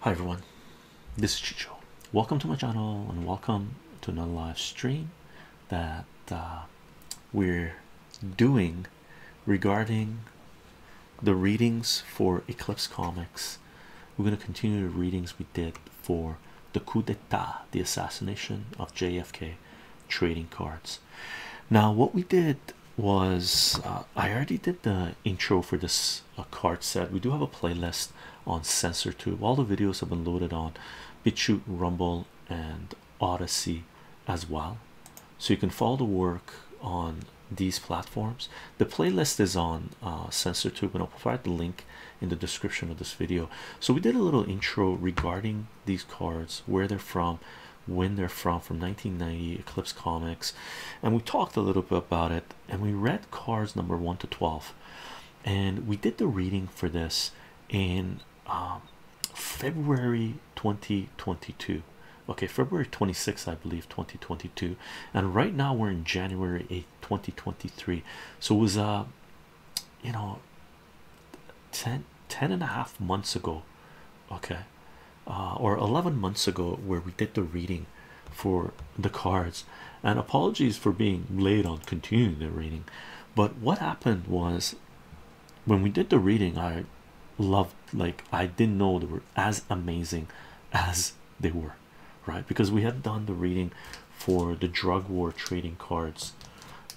Hi everyone, this is Chicho. Welcome to my channel and welcome to another live stream that uh, we're doing regarding the readings for Eclipse Comics. We're going to continue the readings we did for the coup d'etat, the assassination of JFK trading cards. Now, what we did was uh, I already did the intro for this a card said we do have a playlist on sensor tube all the videos have been loaded on BitChute rumble and Odyssey as well so you can follow the work on these platforms the playlist is on uh, tube and I'll provide the link in the description of this video so we did a little intro regarding these cards where they're from when they're from from 1990 Eclipse Comics and we talked a little bit about it and we read cards number 1 to 12 and we did the reading for this in um, February 2022 okay February twenty sixth, I believe 2022 and right now we're in January eighth, twenty 2023 so it was uh you know 10 10 and a half months ago okay uh, or 11 months ago where we did the reading for the cards and apologies for being late on continuing the reading but what happened was when we did the reading i loved like i didn't know they were as amazing as they were right because we had done the reading for the drug war trading cards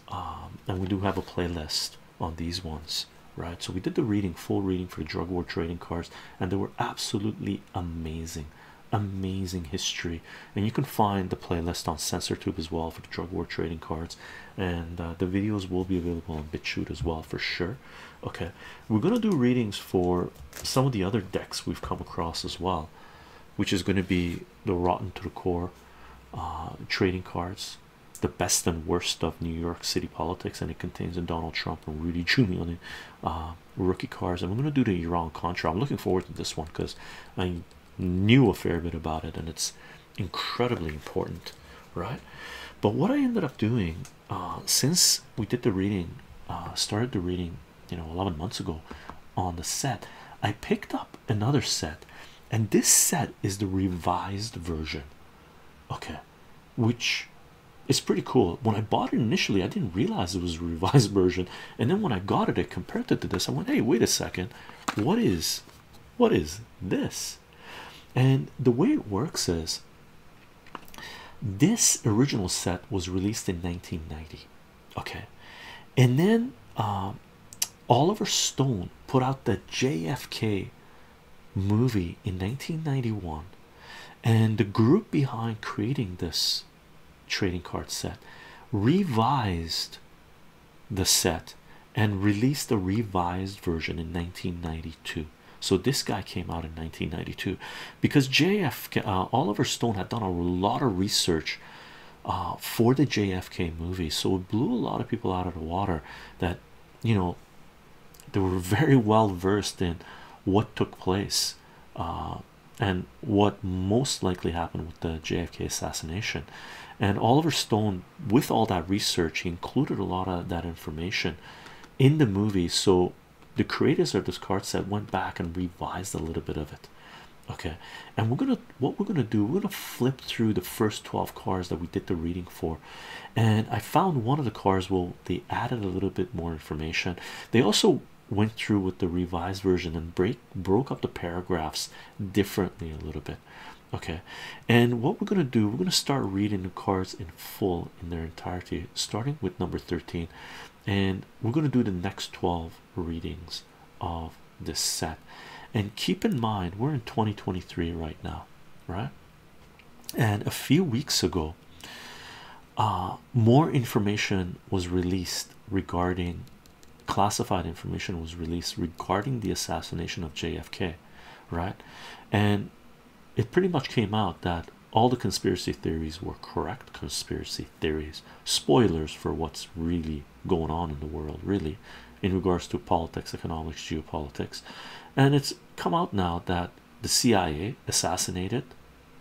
um, and we do have a playlist on these ones right so we did the reading full reading for the drug war trading cards and they were absolutely amazing amazing history and you can find the playlist on SensorTube as well for the drug war trading cards and uh, the videos will be available on BitChute as well for sure okay we're gonna do readings for some of the other decks we've come across as well which is going to be the rotten to the core trading cards the best and worst of New York City politics and it contains a Donald Trump and Rudy Giuliani uh, rookie cars. I'm gonna do the Iran Contra. I'm looking forward to this one because I knew a fair bit about it and it's incredibly important, right? But what I ended up doing uh, since we did the reading, uh, started the reading, you know, 11 months ago on the set, I picked up another set, and this set is the revised version, okay, which it's pretty cool. When I bought it initially, I didn't realize it was a revised version, and then when I got it, I compared it to this. I went, "Hey, wait a second, what is, what is this?" And the way it works is, this original set was released in 1990, okay, and then um, Oliver Stone put out the JFK movie in 1991 and the group behind creating this trading card set revised the set and released a revised version in 1992 so this guy came out in 1992 because JFK uh, Oliver Stone had done a lot of research uh, for the JFK movie so it blew a lot of people out of the water that you know they were very well versed in what took place uh, and what most likely happened with the JFK assassination. And Oliver Stone, with all that research, he included a lot of that information in the movie. So the creators of this card set went back and revised a little bit of it. Okay, and we're gonna what we're gonna do, we're gonna flip through the first 12 cards that we did the reading for. And I found one of the cards well, they added a little bit more information. They also went through with the revised version and break broke up the paragraphs differently a little bit okay and what we're going to do we're going to start reading the cards in full in their entirety starting with number 13 and we're going to do the next 12 readings of this set and keep in mind we're in 2023 right now right and a few weeks ago uh, more information was released regarding classified information was released regarding the assassination of JFK, right? And it pretty much came out that all the conspiracy theories were correct conspiracy theories, spoilers for what's really going on in the world, really, in regards to politics, economics, geopolitics. And it's come out now that the CIA assassinated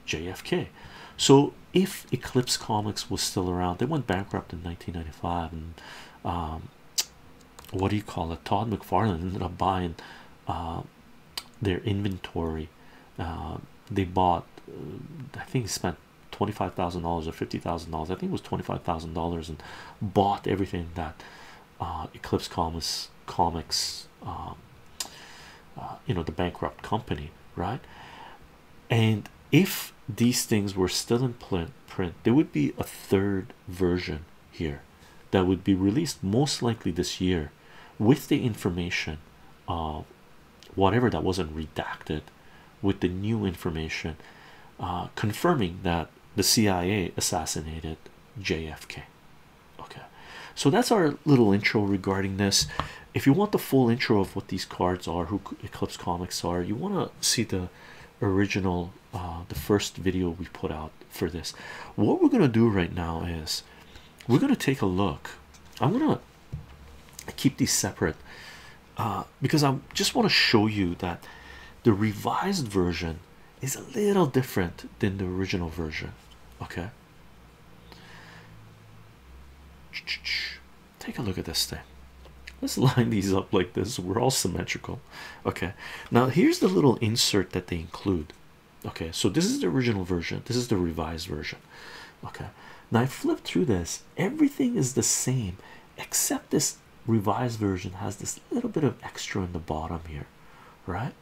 JFK. So if Eclipse Comics was still around, they went bankrupt in 1995, and um, what do you call it? Todd McFarlane ended up buying uh, their inventory. Um, they bought, uh, I think, he spent twenty five thousand dollars or fifty thousand dollars. I think it was twenty five thousand dollars, and bought everything that uh, Eclipse Comics comics um, uh, you know the bankrupt company right and if these things were still in print there would be a third version here that would be released most likely this year with the information of whatever that wasn't redacted with the new information uh, confirming that the CIA assassinated JFK Okay, so that's our little intro regarding this. If you want the full intro of what these cards are, who Eclipse Comics are, you want to see the original, uh, the first video we put out for this. What we're gonna do right now is we're gonna take a look. I'm gonna keep these separate uh, because I just want to show you that the revised version is a little different than the original version. Okay, Take a look at this thing. Let's line these up like this. We're all symmetrical. Okay, now here's the little insert that they include. Okay, so this is the original version, this is the revised version. Okay, now I flip through this, everything is the same except this revised version has this little bit of extra in the bottom here, right?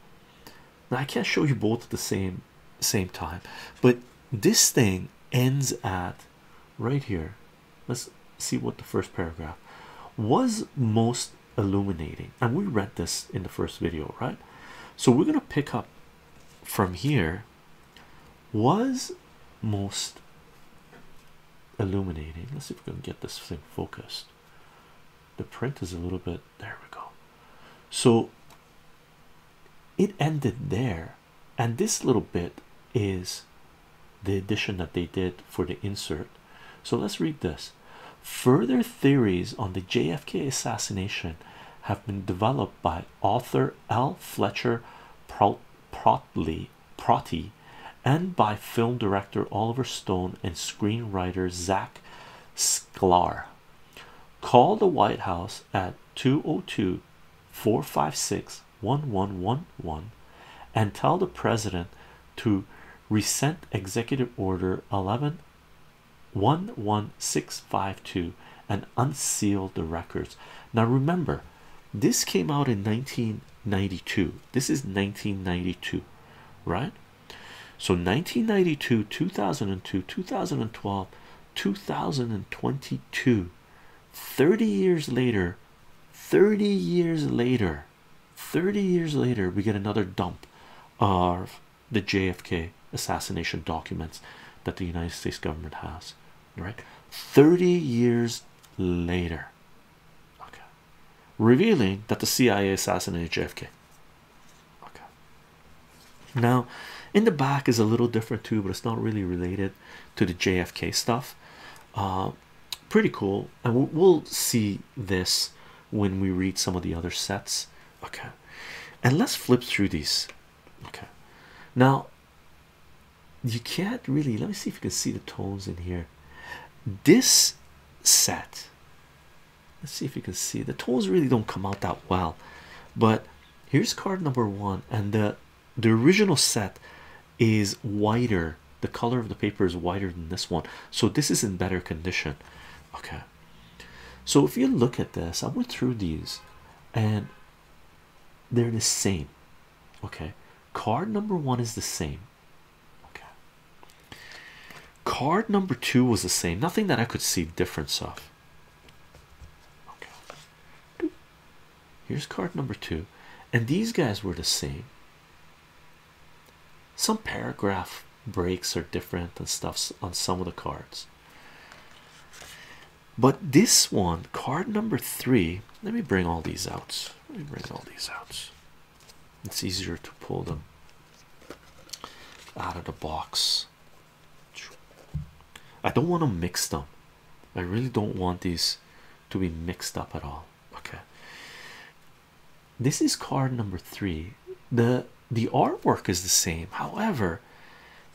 Now I can't show you both the same same time but this thing ends at right here let's see what the first paragraph was most illuminating and we read this in the first video right so we're going to pick up from here was most illuminating let's see if we can get this thing focused the print is a little bit there we go so it ended there and this little bit is the addition that they did for the insert so let's read this further theories on the JFK assassination have been developed by author L Fletcher Protley and by film director Oliver Stone and screenwriter Zack Sklar Call the White House at 202 456 1111 and tell the president to resent Executive Order 11 and unseal the records. Now, remember, this came out in 1992. This is 1992, right? So 1992, 2002, 2012. 2022 30 years later 30 years later 30 years later we get another dump of the JFK assassination documents that the United States government has right 30 years later revealing that the CIA assassinated JFK Okay. Now, in the back is a little different too, but it's not really related to the JFK stuff. Uh, pretty cool, and we'll see this when we read some of the other sets. Okay, and let's flip through these. Okay, now you can't really. Let me see if you can see the tones in here. This set let's see if you can see the tolls really don't come out that well but here's card number one and the the original set is whiter the color of the paper is whiter than this one so this is in better condition okay so if you look at this i went through these and they're the same okay card number one is the same okay card number two was the same nothing that i could see difference of Okay. Here's card number two, and these guys were the same. Some paragraph breaks are different and stuffs on some of the cards. But this one, card number three, let me bring all these out. Let me bring all these out. It's easier to pull them out of the box. I don't want to mix them I really don't want these to be mixed up at all okay this is card number three the the artwork is the same however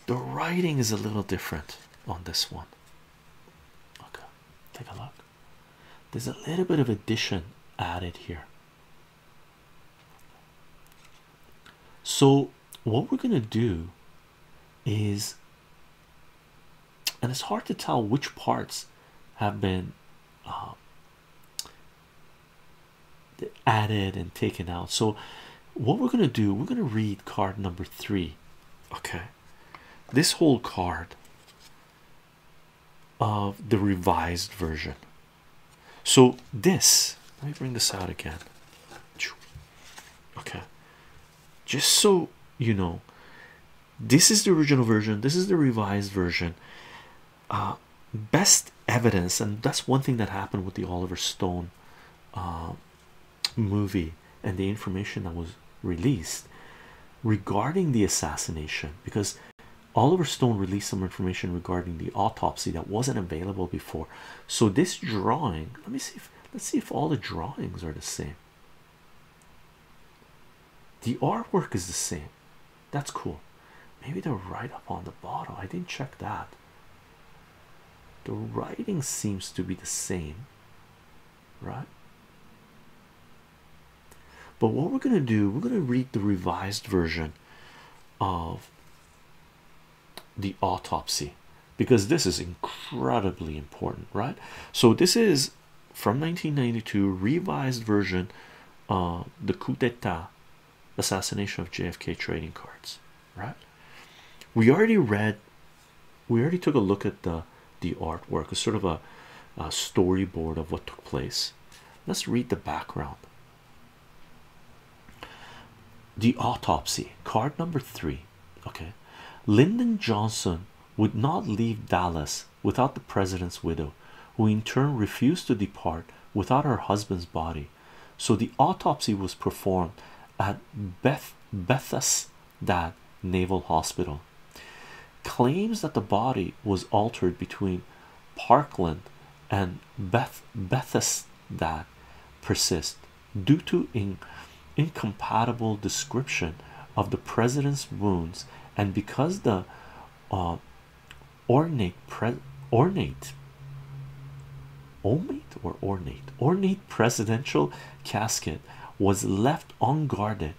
the writing is a little different on this one okay take a look there's a little bit of addition added here so, what we're going to do is, and it's hard to tell which parts have been um, added and taken out. So, what we're going to do, we're going to read card number three. Okay, this whole card of the revised version. So this, let me bring this out again. Okay, just so you know, this is the original version. This is the revised version. Uh, best evidence, and that's one thing that happened with the Oliver Stone uh, movie and the information that was released regarding the assassination, because Oliver Stone released some information regarding the autopsy that wasn't available before so this drawing let me see if let's see if all the drawings are the same the artwork is the same that's cool maybe the writing up on the bottom i didn't check that the writing seems to be the same right but what we're going to do we're going to read the revised version of the autopsy because this is incredibly important, right? So, this is from 1992, revised version of uh, the coup d'etat assassination of JFK trading cards, right? We already read, we already took a look at the the artwork, it's sort of a storyboard of what took place. Let's read the background the autopsy card number three. Okay, Lyndon Johnson would not leave Dallas without the president's widow, who in turn refused to depart without her husband's body. So the autopsy was performed at Beth Bethesda Naval Hospital. Claims that the body was altered between Parkland and Beth Bethesda that persist due to in incompatible description of the president's wounds and because the uh, ornate ornate ornate or ornate ornate presidential casket was left unguarded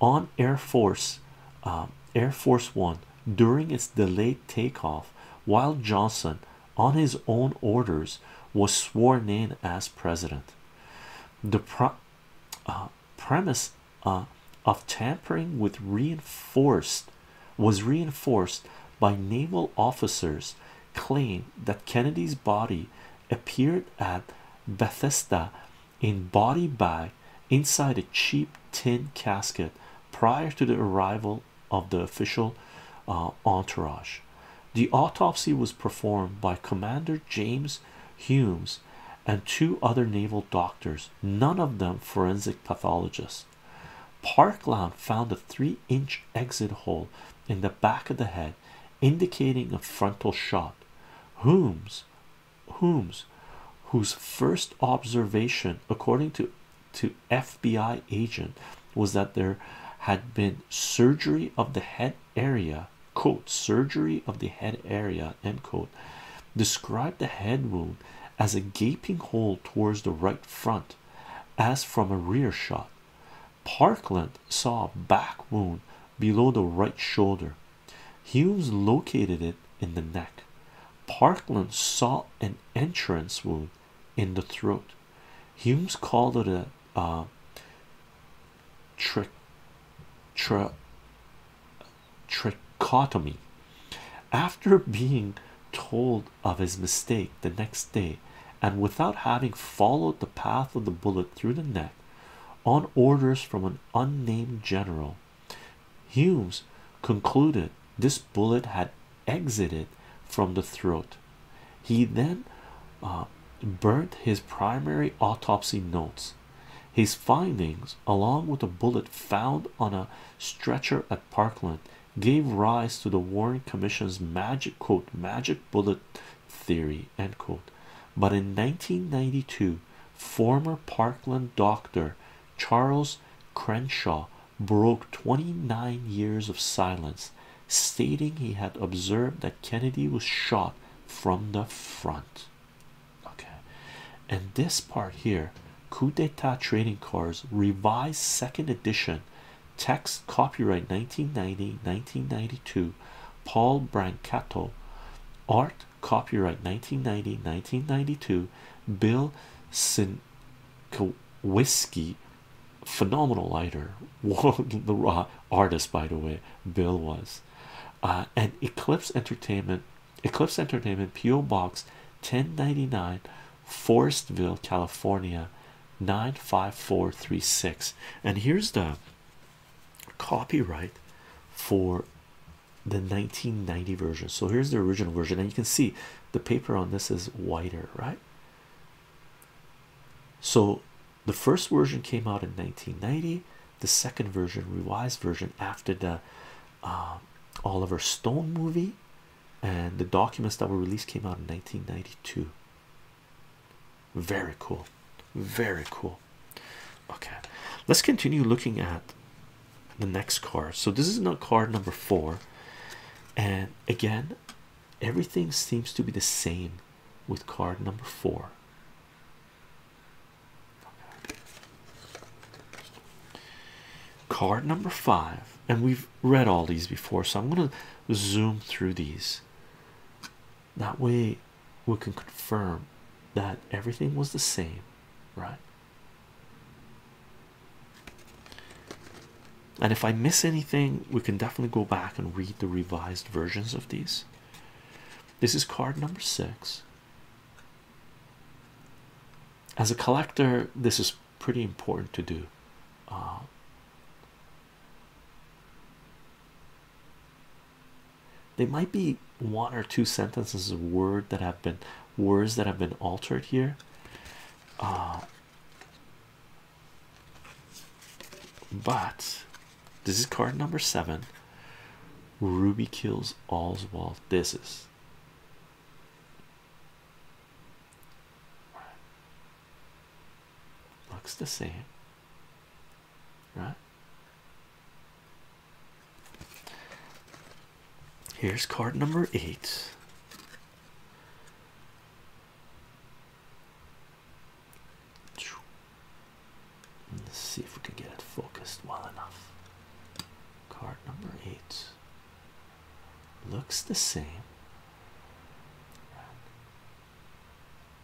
on air force uh, air force one during its delayed takeoff while johnson on his own orders was sworn in as president the uh, premise uh, of tampering with reinforced was reinforced by naval officers claim that Kennedy's body appeared at Bethesda in body bag inside a cheap tin casket prior to the arrival of the official uh, entourage. The autopsy was performed by Commander James Humes and two other naval doctors, none of them forensic pathologists. Parkland found a three inch exit hole in the back of the head, indicating a frontal shot. Humes, Humes, whose first observation, according to to FBI agent was that there had been surgery of the head area quote surgery of the head area end quote described the head wound as a gaping hole towards the right front as from a rear shot Parkland saw a back wound below the right shoulder Hughes located it in the neck Parkland saw an entrance wound in the throat Humes called it a uh, trichotomy after being told of his mistake the next day and without having followed the path of the bullet through the neck on orders from an unnamed general Humes concluded this bullet had exited from the throat. He then uh, burnt his primary autopsy notes. His findings, along with a bullet found on a stretcher at Parkland, gave rise to the Warren Commission's magic quote magic bullet theory end quote. But in 1992, former Parkland doctor Charles Crenshaw broke 29 years of silence, stating he had observed that Kennedy was shot from the front. Okay, and this part here coup d'etat trading cards revised second edition text copyright 1990 1992 paul brancato art copyright 1990 1992 bill Sin Whiskey, phenomenal lighter, the artist, by the way, Bill was, uh, and Eclipse Entertainment, Eclipse Entertainment, PO Box 1099, Forestville, California 95436. And here's the copyright for the 1990 version. So here's the original version, and you can see the paper on this is whiter, right? so the first version came out in 1990 the second version revised version after the uh, Oliver Stone movie and the documents that were released came out in 1992 very cool very cool okay let's continue looking at the next card so this is not card number four and again Everything seems to be the same with card number four. Card number five, and we've read all these before, so I'm going to zoom through these. That way, we can confirm that everything was the same, right? And if I miss anything, we can definitely go back and read the revised versions of these. This is card number six. As a collector, this is pretty important to do. Uh, they might be one or two sentences of word that have been words that have been altered here. Uh, but this is card number seven. Ruby kills Oswald. This is looks the same, right? Here's card number eight. Let's see if we can get it focused well enough. Card number eight looks the same.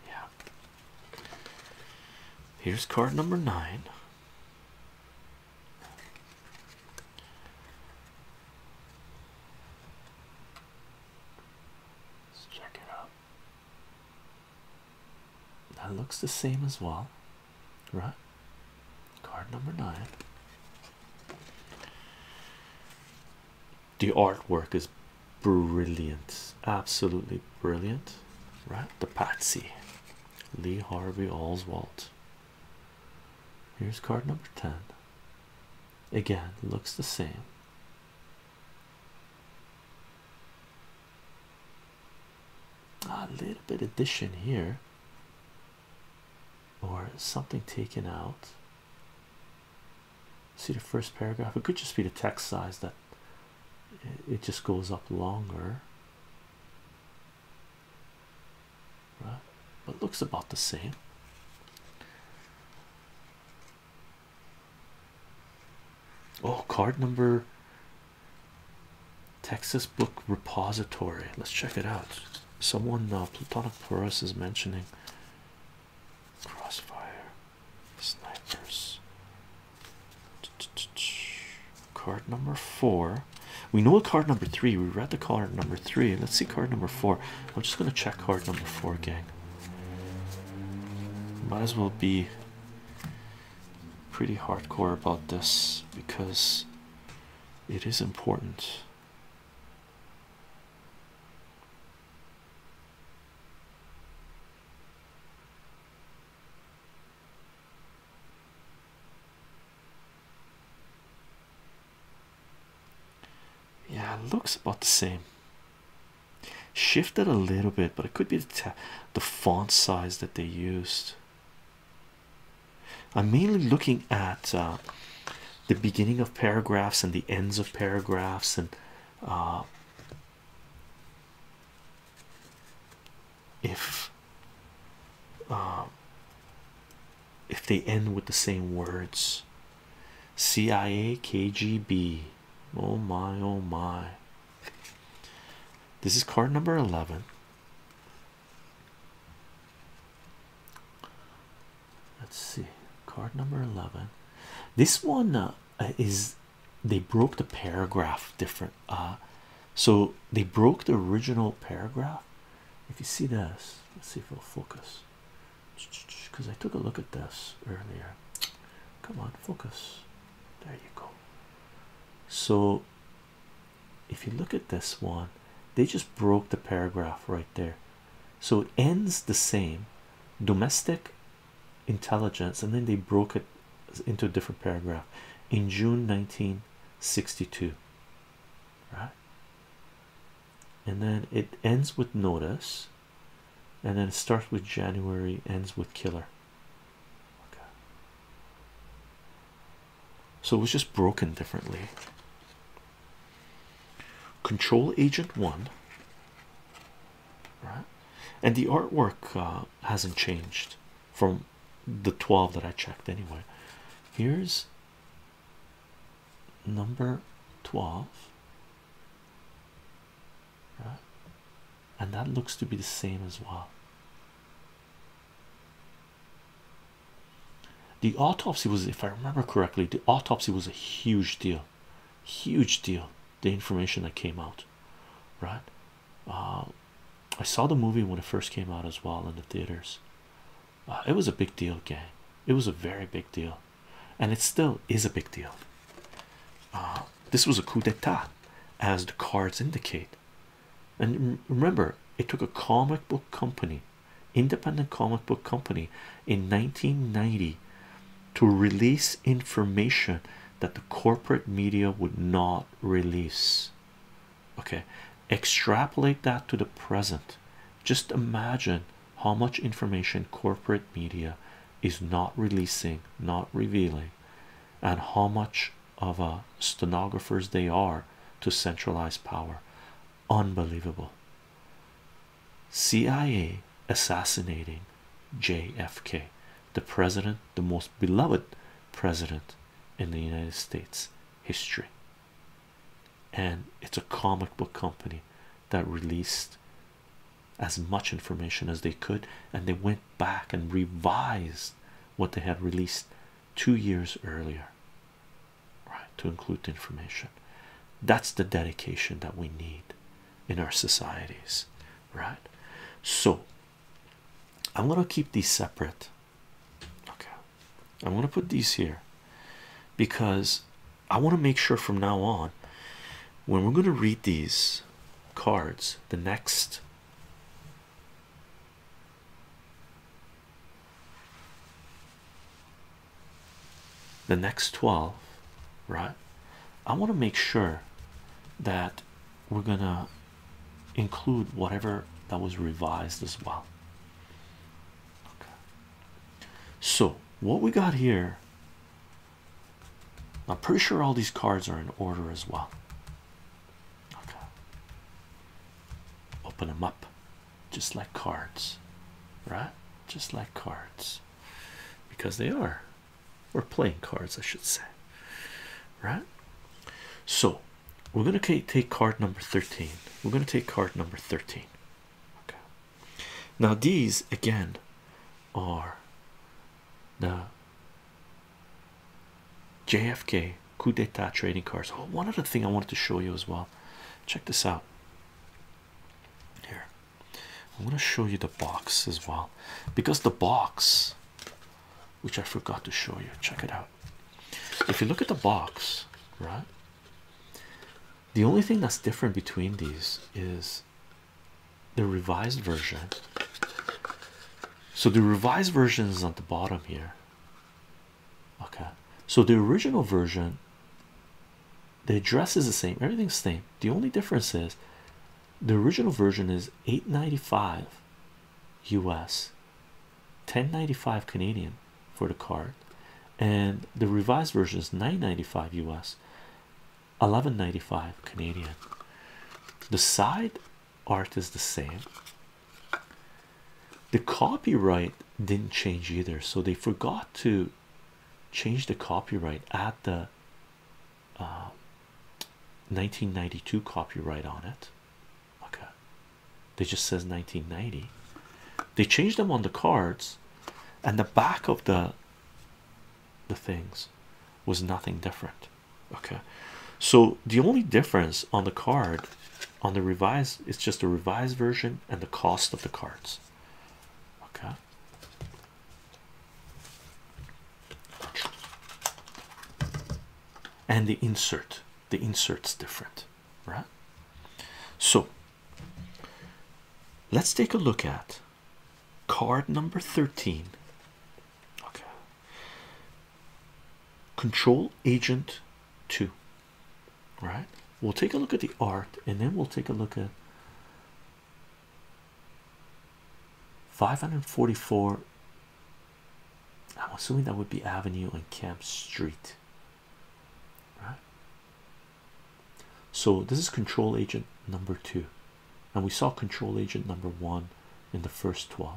Yeah. Here's card number nine. Let's check it out. That looks the same as well, right? Card number nine. The artwork is brilliant, absolutely brilliant, right? The Patsy, Lee Harvey Oswald. Here's card number 10 again looks the same a little bit addition here or something taken out see the first paragraph it could just be the text size that it just goes up longer right but looks about the same Oh, card number Texas Book Repository. Let's check it out. Someone uh, Plutonic Porus is mentioning Crossfire Snipers. Card number four. We know card number three. We read the card number three. Let's see card number four. I'm just gonna check hard number four, gang. Might as well be pretty hardcore about this because it is important. Yeah, looks about the same. Shifted a little bit, but it could be the, font size that they used. I'm mainly looking at uh, the beginning of paragraphs and the ends of paragraphs and uh, if uh, if they end with the same words CIA, KGB. Oh my, oh my. This is card number 11. Let's see, card number 11. This one uh, uh, is they broke the paragraph different. Uh, so they broke the original paragraph. If you see this, let's see if it'll focus because I took a look at this earlier. Come on, focus. There you go. So, if you look at this one, they just broke the paragraph right there. So it ends the same domestic intelligence, and then they broke it into a different paragraph in June 1962. Right? and then it ends with notice and then it starts with January ends with killer so it was just broken differently control agent one right and the artwork uh, hasn't changed from the 12 that I checked anyway here's number 12 right? and that looks to be the same as well. The autopsy was, if I remember correctly, the autopsy was a huge deal, huge deal. The information that came out, right? Uh, I saw the movie when it first came out as well in the theaters. Uh, it was a big deal, gang. It was a very big deal and it still is a big deal. Uh, this was a coup d'etat, as the cards indicate. And remember, it took a comic book company, independent comic book company, in 1990 to release information that the corporate media would not release. Okay, extrapolate that to the present. Just imagine how much information corporate media is not releasing, not revealing, and how much of a stenographers they are to centralize power. Unbelievable. CIA assassinating JFK, the president, the most beloved president in the United States history and it's a comic book company that released as much information as they could and they went back and revised what they had released two years earlier right to include the information that's the dedication that we need in our societies right so i'm going to keep these separate okay i'm going to put these here because I want to make sure from now on when we're going to read these cards the next the next 12 right I want to make sure that we're gonna include whatever that was revised as well okay. so what we got here. I'm pretty sure all these cards are in order as well. Okay, open them up just like cards, right? Just like cards because they are, We're playing cards, I should say, right? So we're gonna take card number 13. We're gonna take card number 13. Okay. Now, these again are the JFK coup d'etat trading cards. Oh, one other thing I wanted to show you as well. Check this out. Here, I'm going to show you the box as well because the box, which I forgot to show you, check it out. If you look at the box, right, the only thing that's different between these is the revised version. So the revised version is on the bottom here. Okay, so the original version, the address is the same, everything's the same. The only difference is the original version is 895 US, 1095 Canadian for the card, and the revised version is 995 US, 11.95 Canadian. The side art is the same. The copyright didn't change either, so they forgot to change the copyright at the 1992 uh, copyright on it. Okay, they just says 1990. They changed them on the cards, and the back of the the things was nothing different. Okay, so the only difference on the card on the revised it's just a revised version and the cost of the cards. Okay. And the insert, the insert's different, right? So Let's take a look at card number 13. Okay. Control Agent 2. Right? We'll take a look at the art and then we'll take a look at 544. I'm assuming that would be Avenue and Camp Street. Right? so this is control agent number two and we saw control agent number one in the first 12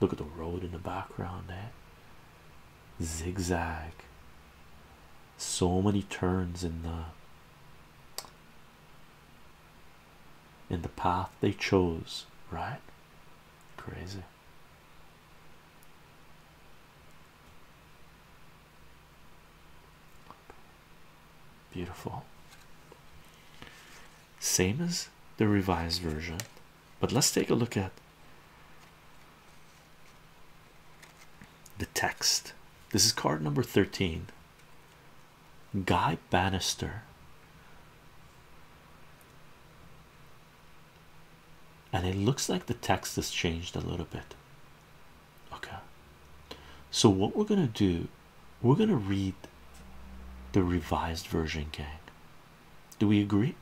look at the road in the background there zigzag so many turns in the in the path they chose right crazy Beautiful. Same as the revised version, but let's take a look at the text. This is card number 13. Guy Bannister and it looks like the text has changed a little bit. Okay, so what we're gonna do, we're gonna read the revised version, gang. Do we agree?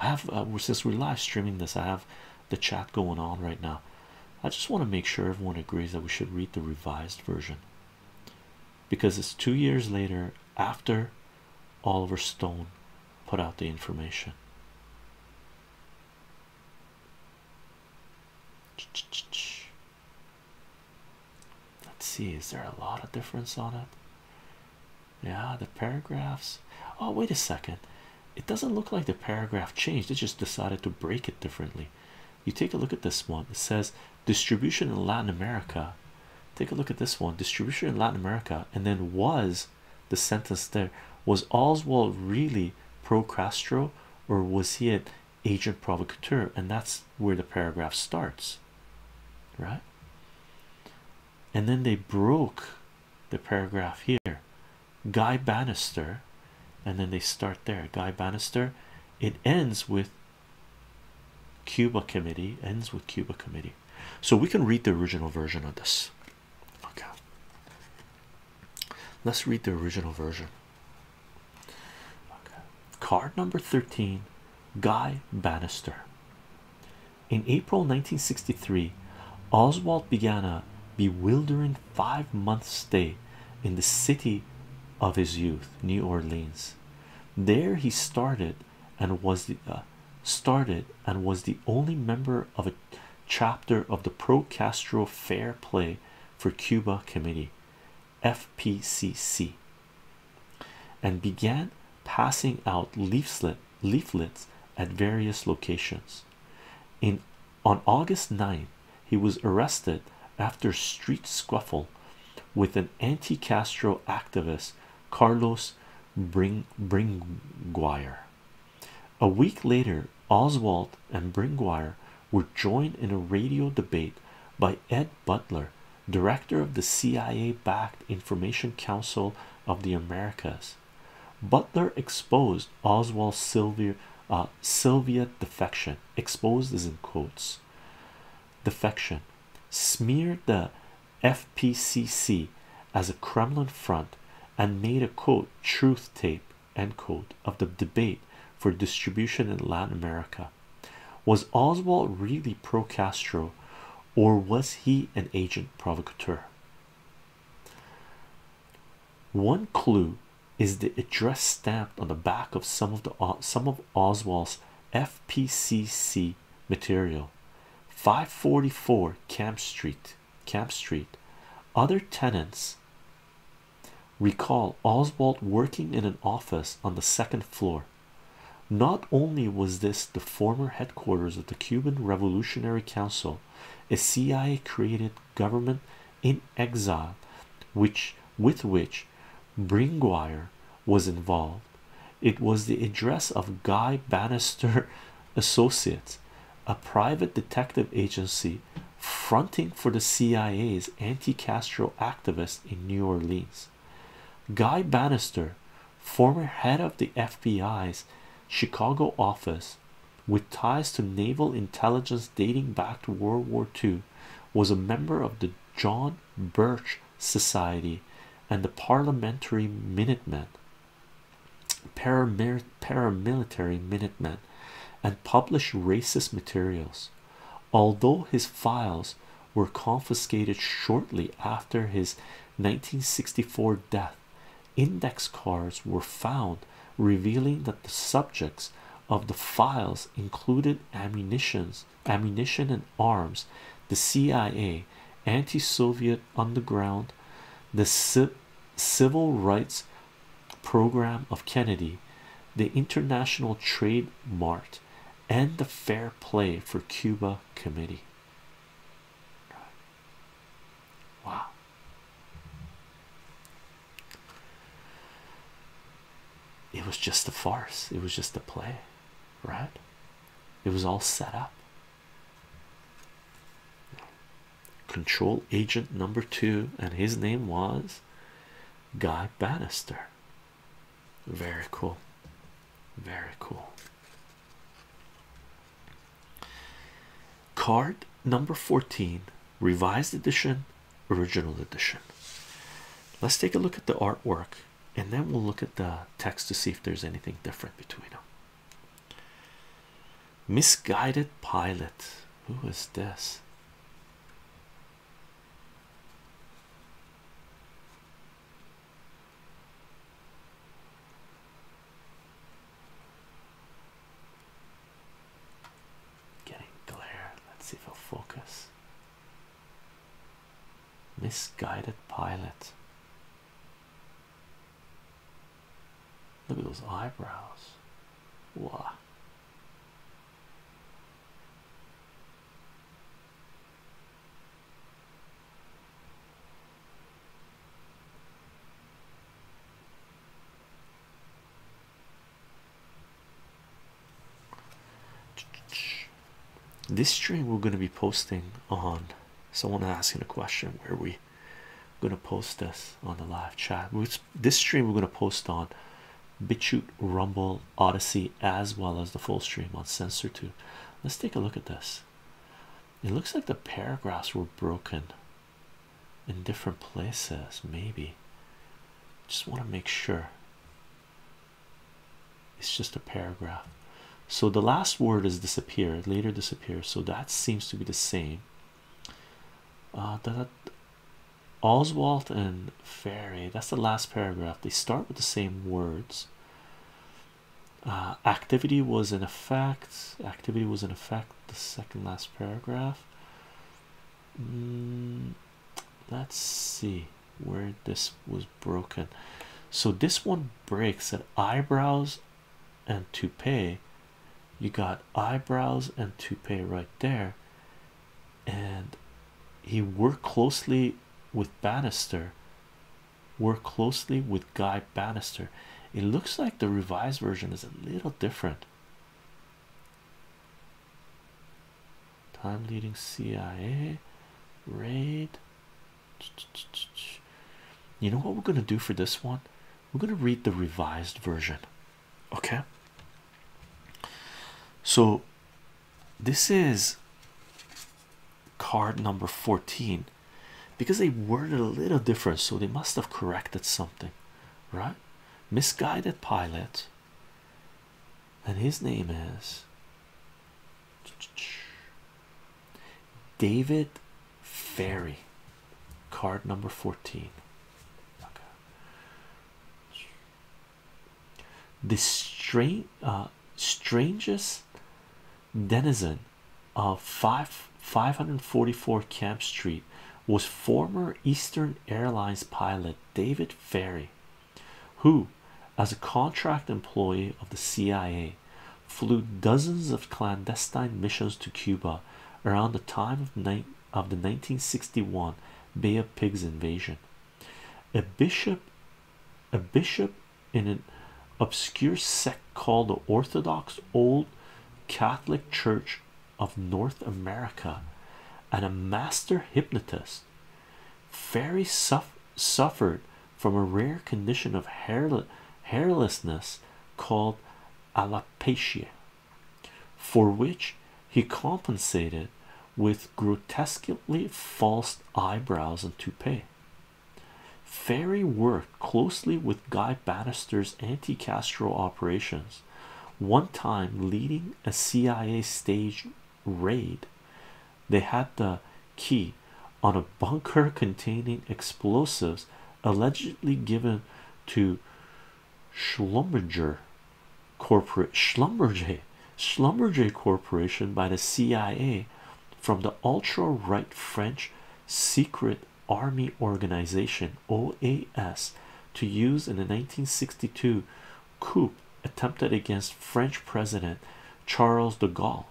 I have uh, since we're live streaming this, I have the chat going on right now. I just want to make sure everyone agrees that we should read the revised version because it's two years later after Oliver Stone put out the information. Let's see, is there a lot of difference on it? Yeah, the paragraphs. Oh, wait a second. It doesn't look like the paragraph changed, it just decided to break it differently. You take a look at this one, it says distribution in Latin America. Take a look at this one distribution in Latin America, and then was the sentence there was Oswald really pro Castro or was he an agent provocateur and that's where the paragraph starts right and then they broke the paragraph here Guy Bannister and then they start there Guy Bannister it ends with Cuba Committee ends with Cuba Committee so we can read the original version of this Okay. Let's read the original version. Okay. Card number 13 Guy Bannister. In April 1963, Oswald began a bewildering five month stay in the city of his youth, New Orleans. There he started and was uh, started and was the only member of a chapter of the Pro Castro Fair Play for Cuba Committee FPCC and began passing out leaflets at various locations. In on August 9th, he was arrested after street scuffle with an anti-Castro activist Carlos Bringuier. A week later, Oswald and Bringwire were joined in a radio debate by Ed Butler, director of the CIA backed Information Council of the Americas. Butler exposed Oswald's Sylvia, uh, Sylvia defection, exposed as in quotes, defection, smeared the FPCC as a Kremlin front and made a quote truth tape end quote of the debate for distribution in Latin America. Was Oswald really pro Castro or was he an agent provocateur? One clue is the address stamped on the back of some of the some of Oswald's FPCC material 544 Camp Street Camp Street. Other tenants recall Oswald working in an office on the second floor. Not only was this the former headquarters of the Cuban Revolutionary Council, a CIA created government in exile, which with which Bringuier was involved, it was the address of Guy Bannister Associates, a private detective agency fronting for the CIA's anti-Castro activists in New Orleans. Guy Bannister, former head of the FBI's Chicago office with ties to naval intelligence dating back to World War II, was a member of the John Birch Society and the Parliamentary Minutemen paramilitary Minutemen and published racist materials. Although his files were confiscated shortly after his 1964 death, index cards were found revealing that the subjects of the files included ammunitions, ammunition and arms, the CIA, anti-Soviet underground, the SIP civil rights program of Kennedy, the International Trade Mart, and the Fair Play for Cuba Committee. Wow. It was just a farce. It was just a play, right? It was all set up. Control agent number two, and his name was Guy Bannister. Very cool, very cool. Card number 14, revised edition, original edition. Let's take a look at the artwork and then we'll look at the text to see if there's anything different between them. Misguided pilot. Who is this? Getting glare. Let's see if I'll focus. Misguided pilot. Look at those eyebrows. Wow. This stream we're going to be posting on someone asking a question where we I'm gonna post this on the live chat. This stream we're gonna post on BitChute, Rumble, Odyssey, as well as the full stream on Censor2. Let's take a look at this. It looks like the paragraphs were broken in different places, maybe. Just want to make sure it's just a paragraph. So the last word is disappeared, later disappears. So that seems to be the same. Uh, that Oswald and Ferry. That's the last paragraph. They start with the same words. Uh, activity was in effect. Activity was in effect. The second last paragraph. Mm, let's see where this was broken. So this one breaks at eyebrows and toupee you got eyebrows and toupee right there and he worked closely with Bannister worked closely with Guy Bannister it looks like the revised version is a little different time leading CIA raid you know what we're gonna do for this one we're going to read the revised version okay so this is card number 14 because they worded a little different so they must have corrected something right misguided pilot and his name is David Ferry, card number 14 okay. the strange uh, strangest denizen of five 544 camp street was former eastern airlines pilot david ferry who as a contract employee of the cia flew dozens of clandestine missions to Cuba around the time of the 1961 Bay of Pigs invasion. A bishop, a bishop in an obscure sect called the Orthodox Old Catholic Church of North America, and a master hypnotist, Ferry suffered from a rare condition of hairlessness called ala Patience, for which he compensated with grotesquely false eyebrows and toupee. Ferry worked closely with Guy Bannister's anti Castro operations, one time leading a CIA stage raid. They had the key on a bunker containing explosives allegedly given to Schlumberger corporate Schlumberger Schlumberger Corporation by the CIA from the ultra right French secret army organization OAS to use in the 1962 coup attempted against French President Charles de Gaulle.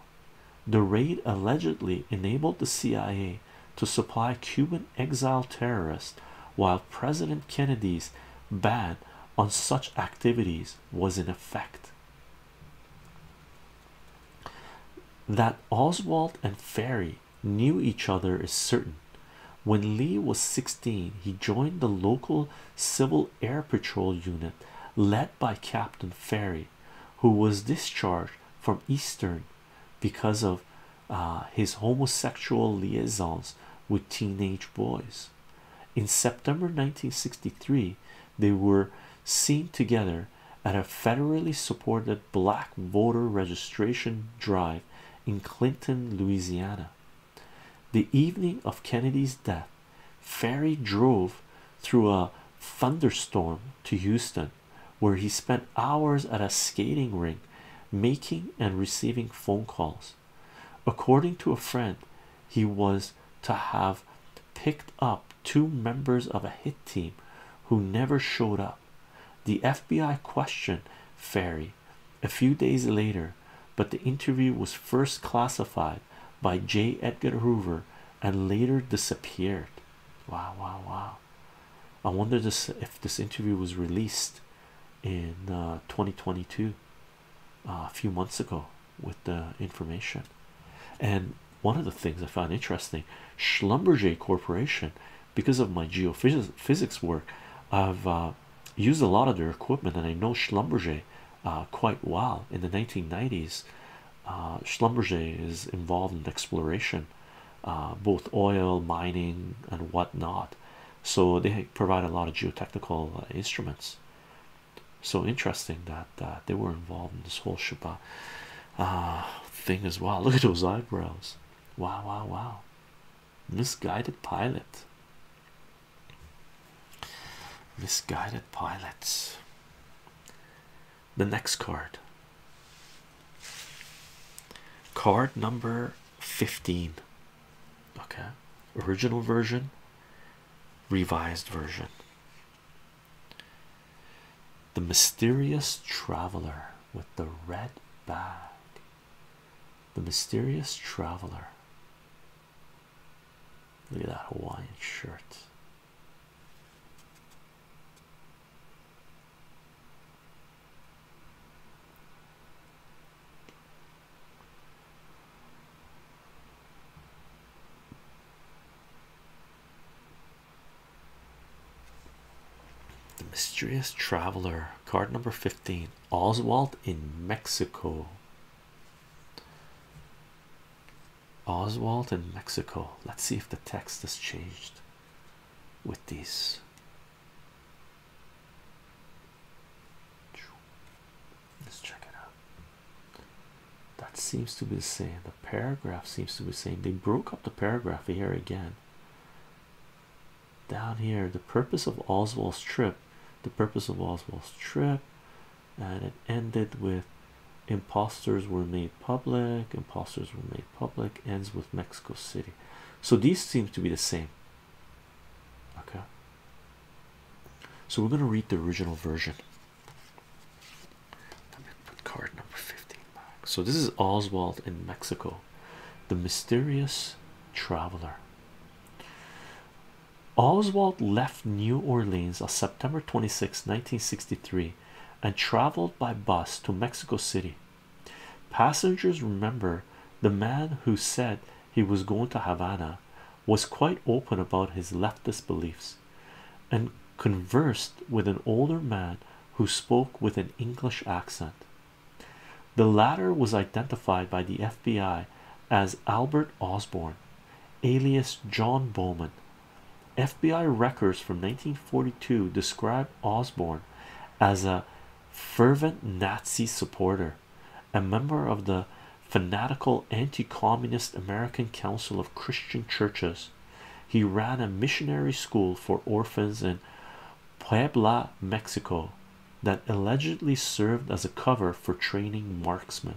The raid allegedly enabled the CIA to supply Cuban exile terrorists while President Kennedy's ban on such activities was in effect. That Oswald and Ferry knew each other is certain. When Lee was 16, he joined the local Civil Air Patrol unit led by Captain Ferry, who was discharged from Eastern because of uh, his homosexual liaisons with teenage boys. In September 1963, they were seen together at a federally supported black voter registration drive in Clinton, Louisiana. The evening of Kennedy's death, Ferry drove through a thunderstorm to Houston where he spent hours at a skating rink making and receiving phone calls. According to a friend, he was to have picked up two members of a hit team who never showed up. The FBI questioned Ferry a few days later, but the interview was first classified by J. Edgar Hoover and later disappeared. Wow, wow, wow. I wonder if this interview was released in uh, 2022, uh, a few months ago, with the information. And one of the things I found interesting, Schlumberger Corporation, because of my geophysics work, I've uh, used a lot of their equipment, and I know Schlumberger quite well. In the 1990s, Schlumberger is involved in exploration uh, both oil mining and whatnot. So they provide a lot of geotechnical uh, instruments. So interesting that uh, they were involved in this whole Shabbat thing as well. Look at those eyebrows! Wow, wow, wow! Misguided pilot. Misguided pilots the next card. Card number 15. Okay, original version, revised version. The mysterious traveler with the red bag. The mysterious traveler. Look at that Hawaiian shirt. The Mysterious Traveler, card number 15, Oswald in Mexico. Oswald in Mexico. Let's see if the text has changed with these. Let's check it out. That seems to be the same. The paragraph seems to be saying they broke up the paragraph here again. Down here, the purpose of Oswald's trip, the purpose of Oswald's trip, and it ended with imposters were made public imposters were made public ends with Mexico City so these seem to be the same okay so we're going to read the original version card number 15 so this is Oswald in Mexico the mysterious traveler Oswald left New Orleans on September 26 1963 and traveled by bus to Mexico City Passengers remember the man who said he was going to Havana was quite open about his leftist beliefs and conversed with an older man who spoke with an English accent. The latter was identified by the FBI as Albert Osborne, alias John Bowman. FBI records from 1942 describe Osborne as a fervent Nazi supporter, a member of the fanatical anti-communist American Council of Christian Churches. He ran a missionary school for orphans in Puebla, Mexico, that allegedly served as a cover for training marksmen.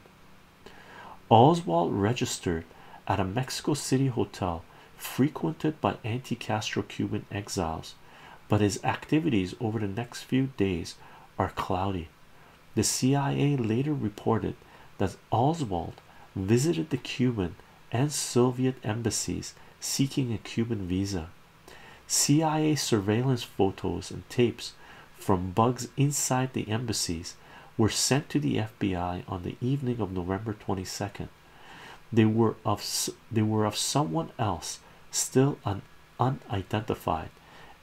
Oswald registered at a Mexico City hotel frequented by anti-Castro Cuban exiles, but his activities over the next few days are cloudy. The CIA later reported that Oswald visited the Cuban and Soviet embassies seeking a Cuban visa. CIA surveillance photos and tapes from bugs inside the embassies were sent to the FBI on the evening of November 22nd they were of they were of someone else, still unidentified,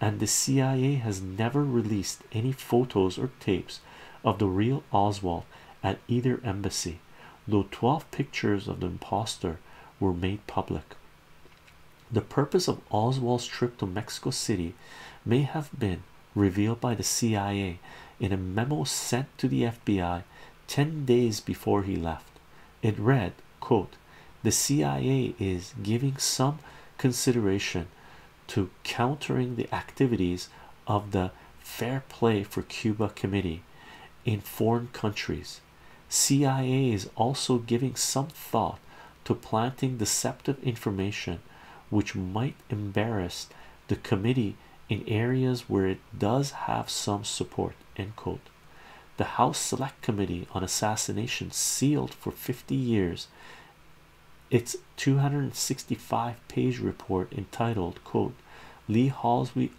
and the CIA has never released any photos or tapes of the real Oswald at either embassy, though 12 pictures of the impostor were made public. The purpose of Oswald's trip to Mexico City may have been revealed by the CIA in a memo sent to the FBI 10 days before he left. It read, the CIA is giving some consideration to countering the activities of the Fair Play for Cuba Committee in foreign countries. CIA is also giving some thought to planting deceptive information which might embarrass the committee in areas where it does have some support the house select committee on Assassinations sealed for 50 years its 265 page report entitled quote lee halsey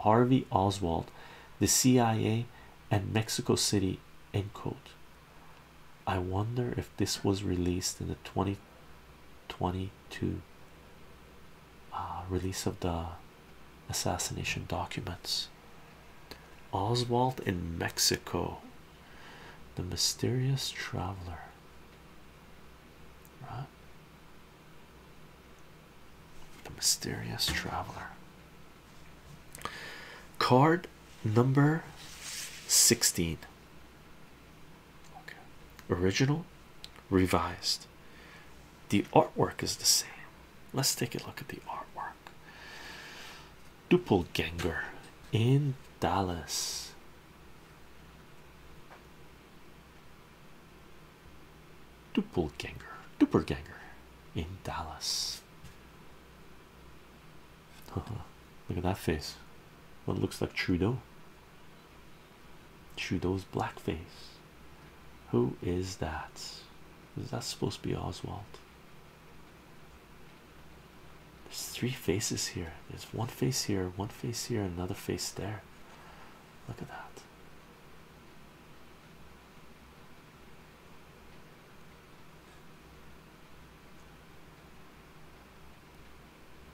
harvey oswald the cia and mexico city end quote i wonder if this was released in the 2022 uh, release of the assassination documents. Oswald in Mexico, the mysterious traveler. Right? The mysterious traveler. Card number 16. Original, revised. The artwork is the same. Let's take a look at the artwork. Doppelganger in Dallas. Doppelganger, Doppelganger in Dallas. Look at that face. What looks like Trudeau? Trudeau's blackface. Who is that? Is that supposed to be Oswald? There's three faces here. There's one face here, one face here, another face there. Look at that.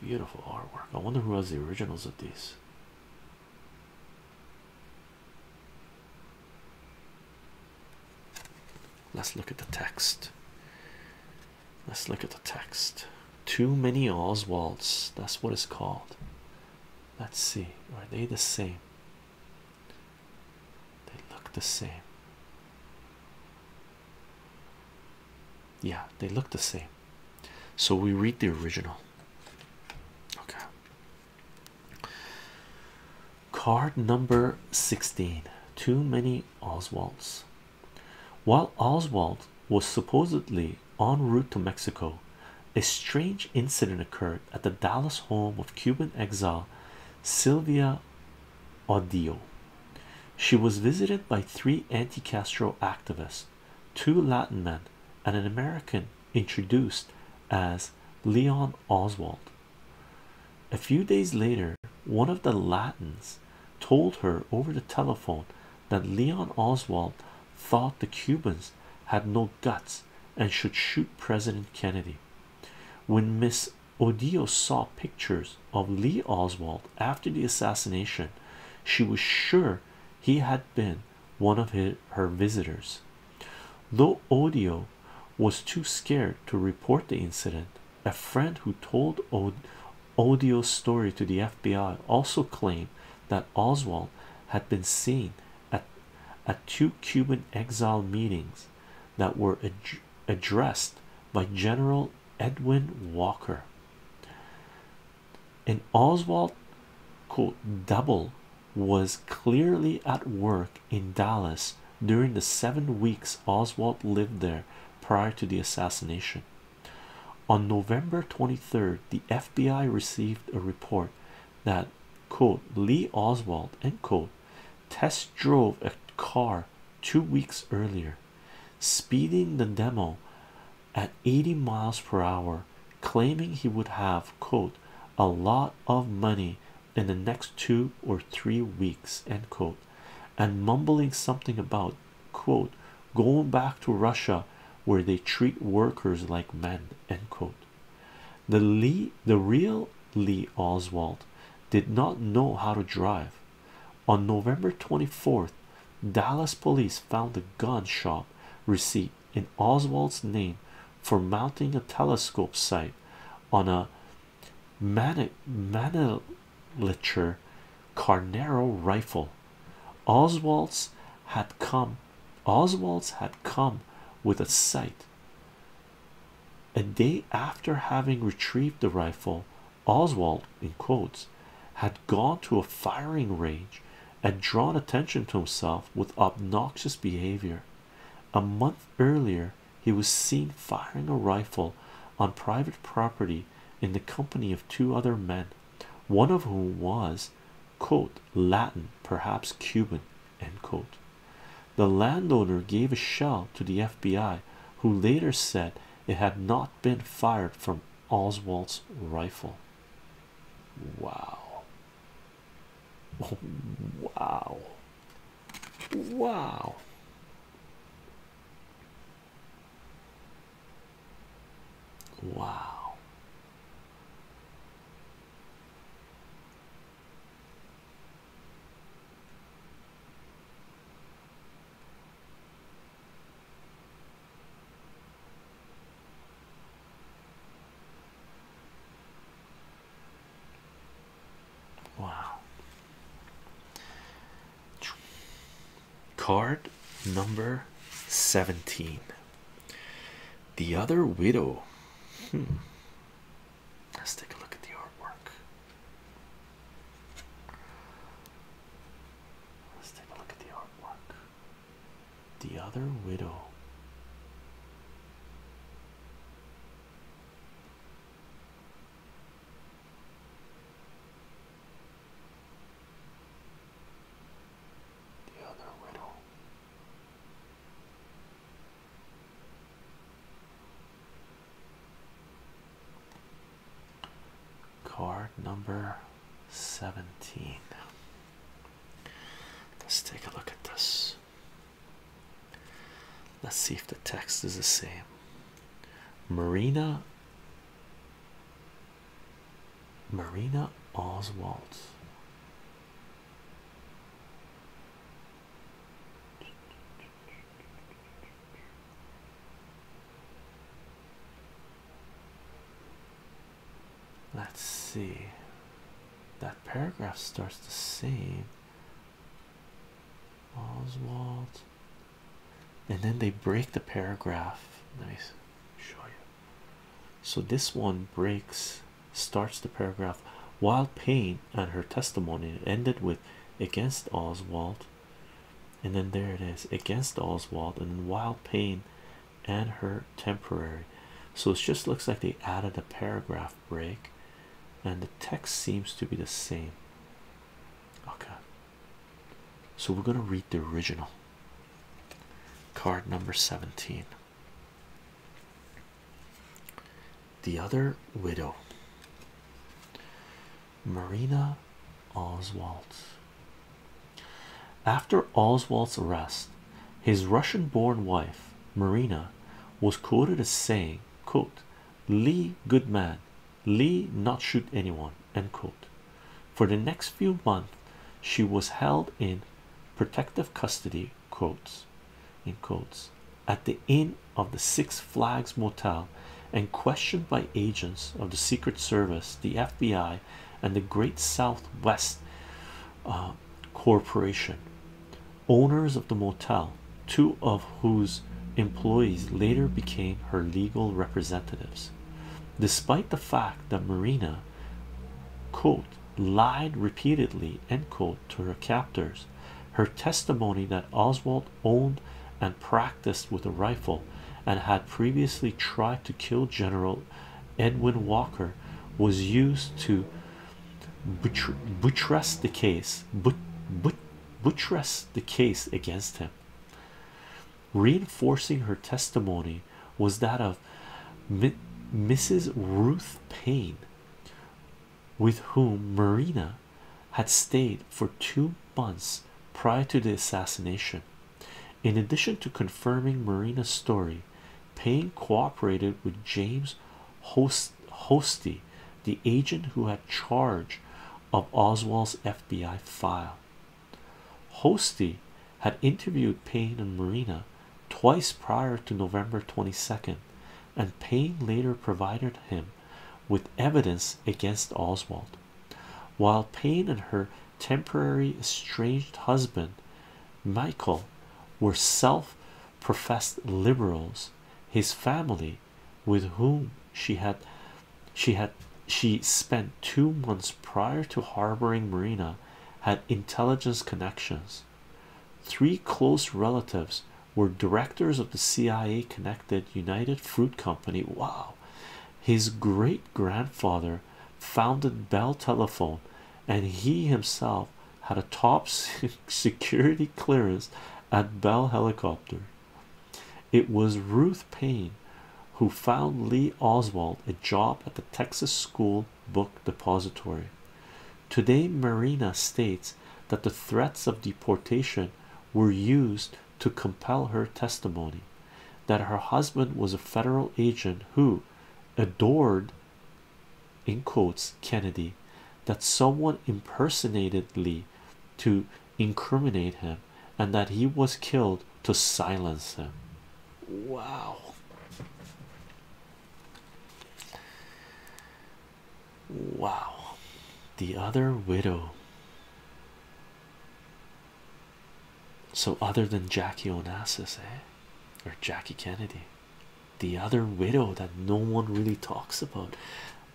Beautiful artwork. I wonder who has the originals of these. Let's look at the text. Let's look at the text. Too many Oswalds. That's what it's called. Let's see. Are they the same? They look the same. Yeah, they look the same. So we read the original. Okay. Card number 16. Too many Oswalds. While Oswald was supposedly en route to Mexico, a strange incident occurred at the Dallas home of Cuban exile Sylvia Audio. She was visited by three anti Castro activists two Latin men, and an American introduced as Leon Oswald. A few days later, one of the Latins told her over the telephone that Leon Oswald thought the Cubans had no guts and should shoot President Kennedy. When Miss Odio saw pictures of Lee Oswald after the assassination, she was sure he had been one of her visitors. Though Odio was too scared to report the incident, a friend who told Odio's story to the FBI also claimed that Oswald had been seen at, two Cuban exile meetings that were addressed by General Edwin Walker and Oswald double was clearly at work in Dallas during the seven weeks Oswald lived there prior to the assassination. On November 23rd, the FBI received a report that Lee Oswald end quote test drove a car two weeks earlier, speeding the demo at 80 miles per hour claiming he would have a lot of money in the next two or three weeks and mumbling something about going back to Russia where they treat workers like men the Lee the real Lee Oswald did not know how to drive on November 24th Dallas police found a gun shop receipt in Oswald's name for mounting a telescope sight on a Mannlicher Carnero rifle. Oswald's had come Oswald's had come with a sight. A day after having retrieved the rifle, Oswald in quotes had gone to a firing range had drawn attention to himself with obnoxious behavior. A month earlier, he was seen firing a rifle on private property in the company of two other men, one of whom was, Latin, perhaps Cuban, The landowner gave a shell to the FBI, who later said it had not been fired from Oswald's rifle. Wow. wow. Wow. Wow. Wow. Card number 17. The Other Widow. Hmm. Let's take a look at the artwork. Let's take a look at the artwork. The Other Widow. The Other Widow. Card number seventeen. Let's take a look at this. Let's see if the text is the same. Marina Marina Oswald. Let's see. That paragraph starts the same. Oswald. And then they break the paragraph. Let show you. So this one breaks, starts the paragraph. While Payne and her testimony ended with against Oswald, and then there it is against Oswald, and then while Payne and her temporary so it just looks like they added a paragraph break and the text seems to be the same okay so we're going to read the original card number 17 the other widow Marina Oswald after Oswald's arrest, his Russian-born wife Marina was quoted as saying, quote, Lee good man, Lee not shoot anyone, end quote. For the next few months she was held in protective custody quotes at the inn of the Six Flags Motel and questioned by agents of the Secret Service, the FBI, and the Great Southwest uh, corporation owners of the motel two of whose employees later became her legal representatives despite the fact that marina lied repeatedly end quote to her captors her testimony that oswald owned and practiced with a rifle and had previously tried to kill general Edwin Walker was used to buttress, the case, buttress the case against him. Reinforcing her testimony was that of Mrs. Ruth Payne, with whom Marina had stayed for two months prior to the assassination. In addition to confirming Marina's story, Payne cooperated with James Hosty, the agent who had charge of Oswald's FBI file. Hosty had interviewed Payne and Marina twice prior to November 22nd, and Payne later provided him with evidence against Oswald. While Payne and her temporary estranged husband Michael were self professed liberals. His family, with whom she had she had she spent two months prior to harboring Marina, had intelligence connections. Three close relatives were directors of the CIA connected United Fruit Company. Wow, his great grandfather founded Bell Telephone, and he himself had a top security clearance at Bell Helicopter. It was Ruth Payne who found Lee Oswald a job at the Texas School Book Depository. Today, Marina states that the threats of deportation were used to compel her testimony that her husband was a federal agent who adored in quotes Kennedy that someone impersonated Lee to incriminate him and that he was killed to silence him. Wow. Wow. The other widow. So, other than Jackie Onassis, eh? or Jackie Kennedy, the other widow that no one really talks about.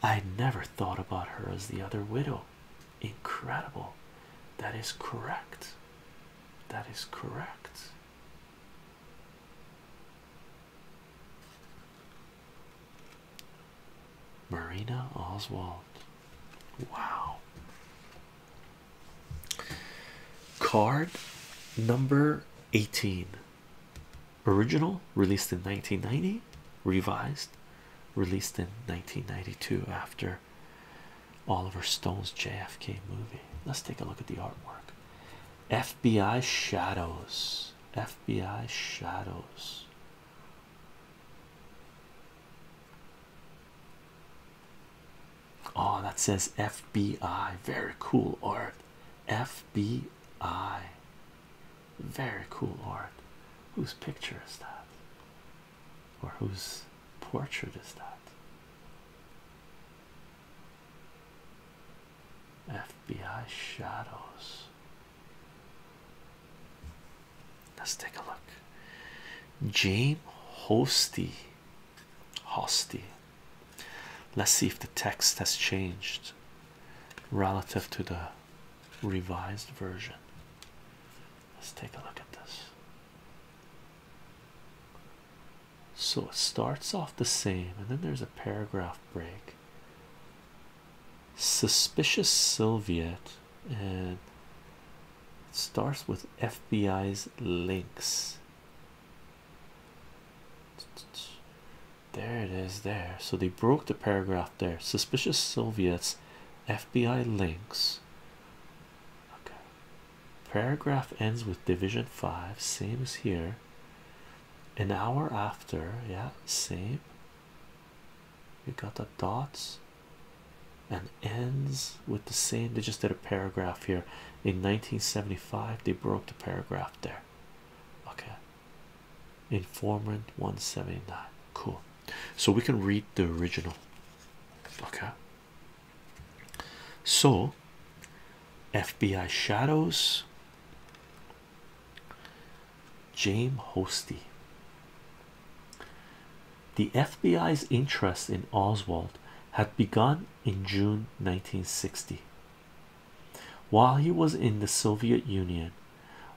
I never thought about her as the other widow. Incredible. That is correct. That is correct. Marina Oswald. Wow. Card number 18 original released in 1990, revised, released in 1992 after Oliver Stone's JFK movie. Let's take a look at the artwork. FBI Shadows, FBI Shadows. Oh, that says FBI. Very cool art. FBI. Very cool art. Whose picture is that? Or whose portrait is that? FBI shadows. Let's take a look. James Hosty. Hosty. Let's see if the text has changed relative to the revised version. Let's take a look at this. So it starts off the same, and then there's a paragraph break. Suspicious Soviet, and it starts with FBI's links. There it is, there. So they broke the paragraph there. Suspicious Soviets, FBI links. Paragraph ends with Division 5, same as here. An hour after, yeah, same. We got the dots and ends with the same. They just did a paragraph here in 1975 they broke the paragraph there okay informant 179 cool so we can read the original okay so fbi shadows james hosty the fbi's interest in oswald had begun in June 1960 while he was in the Soviet Union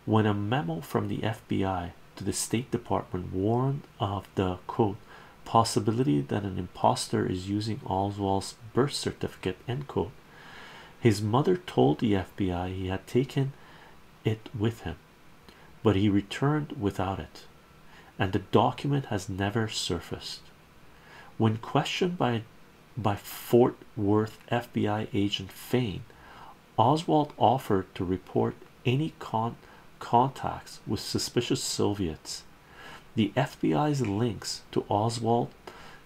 when a memo from the FBI to the State Department warned of the quote possibility that an impostor is using Oswald's birth certificate end quote his mother told the FBI he had taken it with him but he returned without it and the document has never surfaced. When questioned by by Fort Worth FBI agent Fain, Oswald offered to report any contacts with suspicious Soviets. The FBI's links to Oswald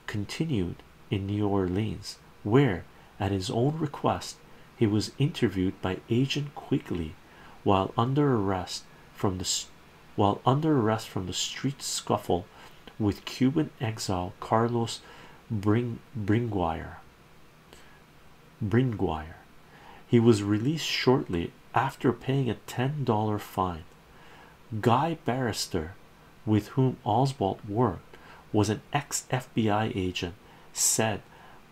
continued in New Orleans, where, at his own request, he was interviewed by Agent Quigley while under arrest from the while under arrest from the street scuffle with Cuban exile Carlos Bringuier. Bringuier. He was released shortly after paying a $10 fine. Guy Barrister, with whom Oswald worked, was an ex-FBI agent said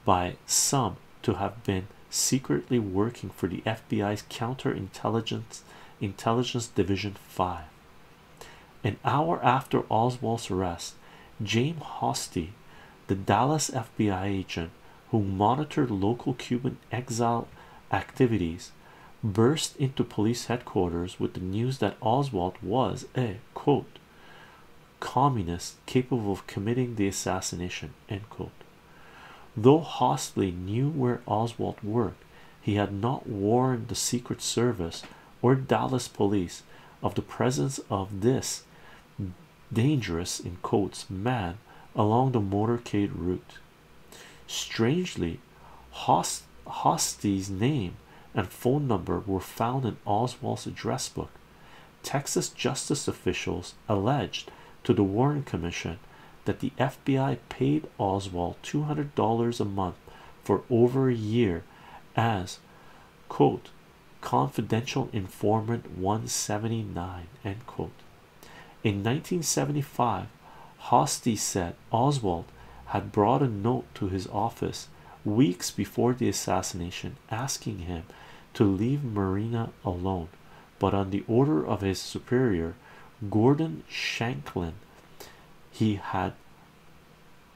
by some to have been secretly working for the FBI's counterintelligence intelligence division 5 an hour after Oswald's arrest James Hosty the Dallas FBI agent who monitored local Cuban exile activities burst into police headquarters with the news that Oswald was a communist capable of committing the assassination Though Hostley knew where Oswald worked, he had not warned the Secret Service or Dallas police of the presence of this dangerous in quotes man along the motorcade route. Strangely, Host name and phone number were found in Oswald's address book. Texas justice officials alleged to the Warren Commission that the F. FBI paid Oswald $200 a month for over a year as quote confidential informant 179 end quote. In 1975, Hosty said Oswald had brought a note to his office weeks before the assassination asking him to leave Marina alone but on the order of his superior Gordon Shanklin he had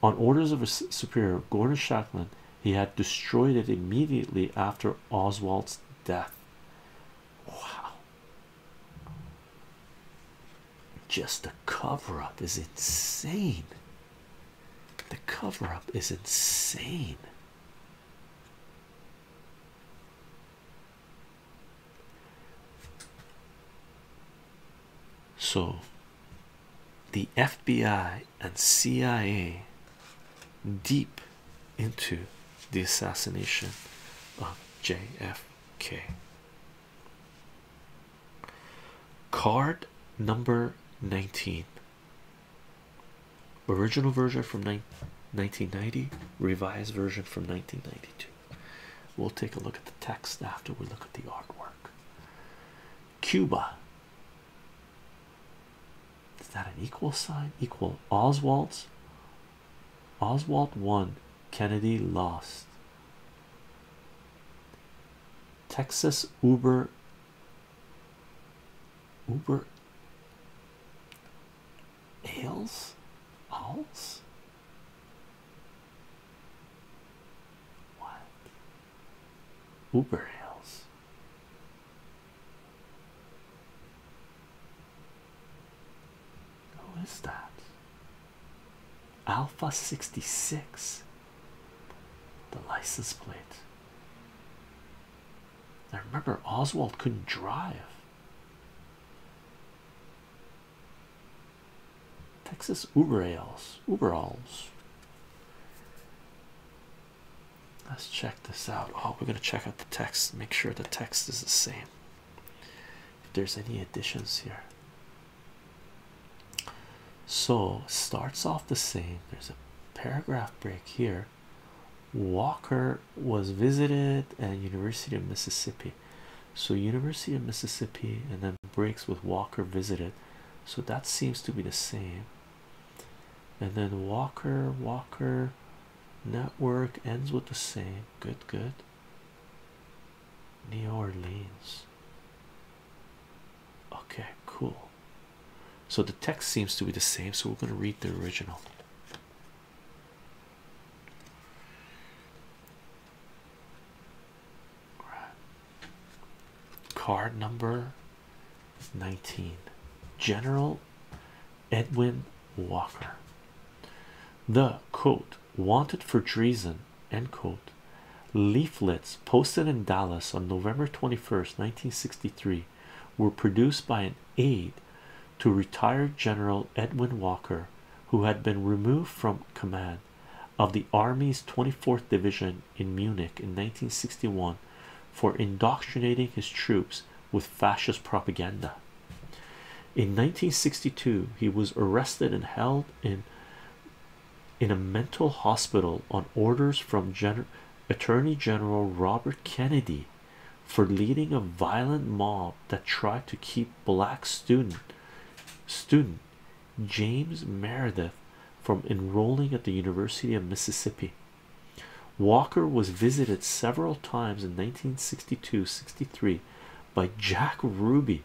on orders of his superior Gordon Shanklin he had destroyed it immediately after Oswald's death wow just the cover-up is insane the cover-up is insane so the FBI and CIA deep into the assassination of JFK. Card number 19. Original version from 1990 revised version from 1992. We'll take a look at the text after we look at the artwork. Cuba. Is that an equal sign? Equal Oswald's. Oswald won. Kennedy lost. Texas Uber. Uber. Ales? Owls? What? Uber ales. Who is that? Alpha 66. The license plate. I remember Oswald couldn't drive. Texas Uberalls. Uberalls. Let's check this out. Oh, we're gonna check out the text, make sure the text is the same. If there's any additions here, so starts off the same. There's a paragraph break here. Walker was visited at University of Mississippi. So University of Mississippi and then breaks with Walker visited. So that seems to be the same. And then Walker Walker network ends with the same. Good good. New Orleans. Okay, cool. So the text seems to be the same, so we're going to read the original. Card number 19 General Edwin Walker. The quote wanted for treason end quote leaflets posted in Dallas on November 21st 1963 were produced by an aide to retired General Edwin Walker, who had been removed from command of the Army's 24th Division in Munich in 1961 for indoctrinating his troops with fascist propaganda. In 1962, he was arrested and held in in a mental hospital on orders from Attorney General Robert Kennedy for leading a violent mob that tried to keep black student James Meredith from enrolling at the University of Mississippi. Walker was visited several times in 1962-63 by Jack Ruby.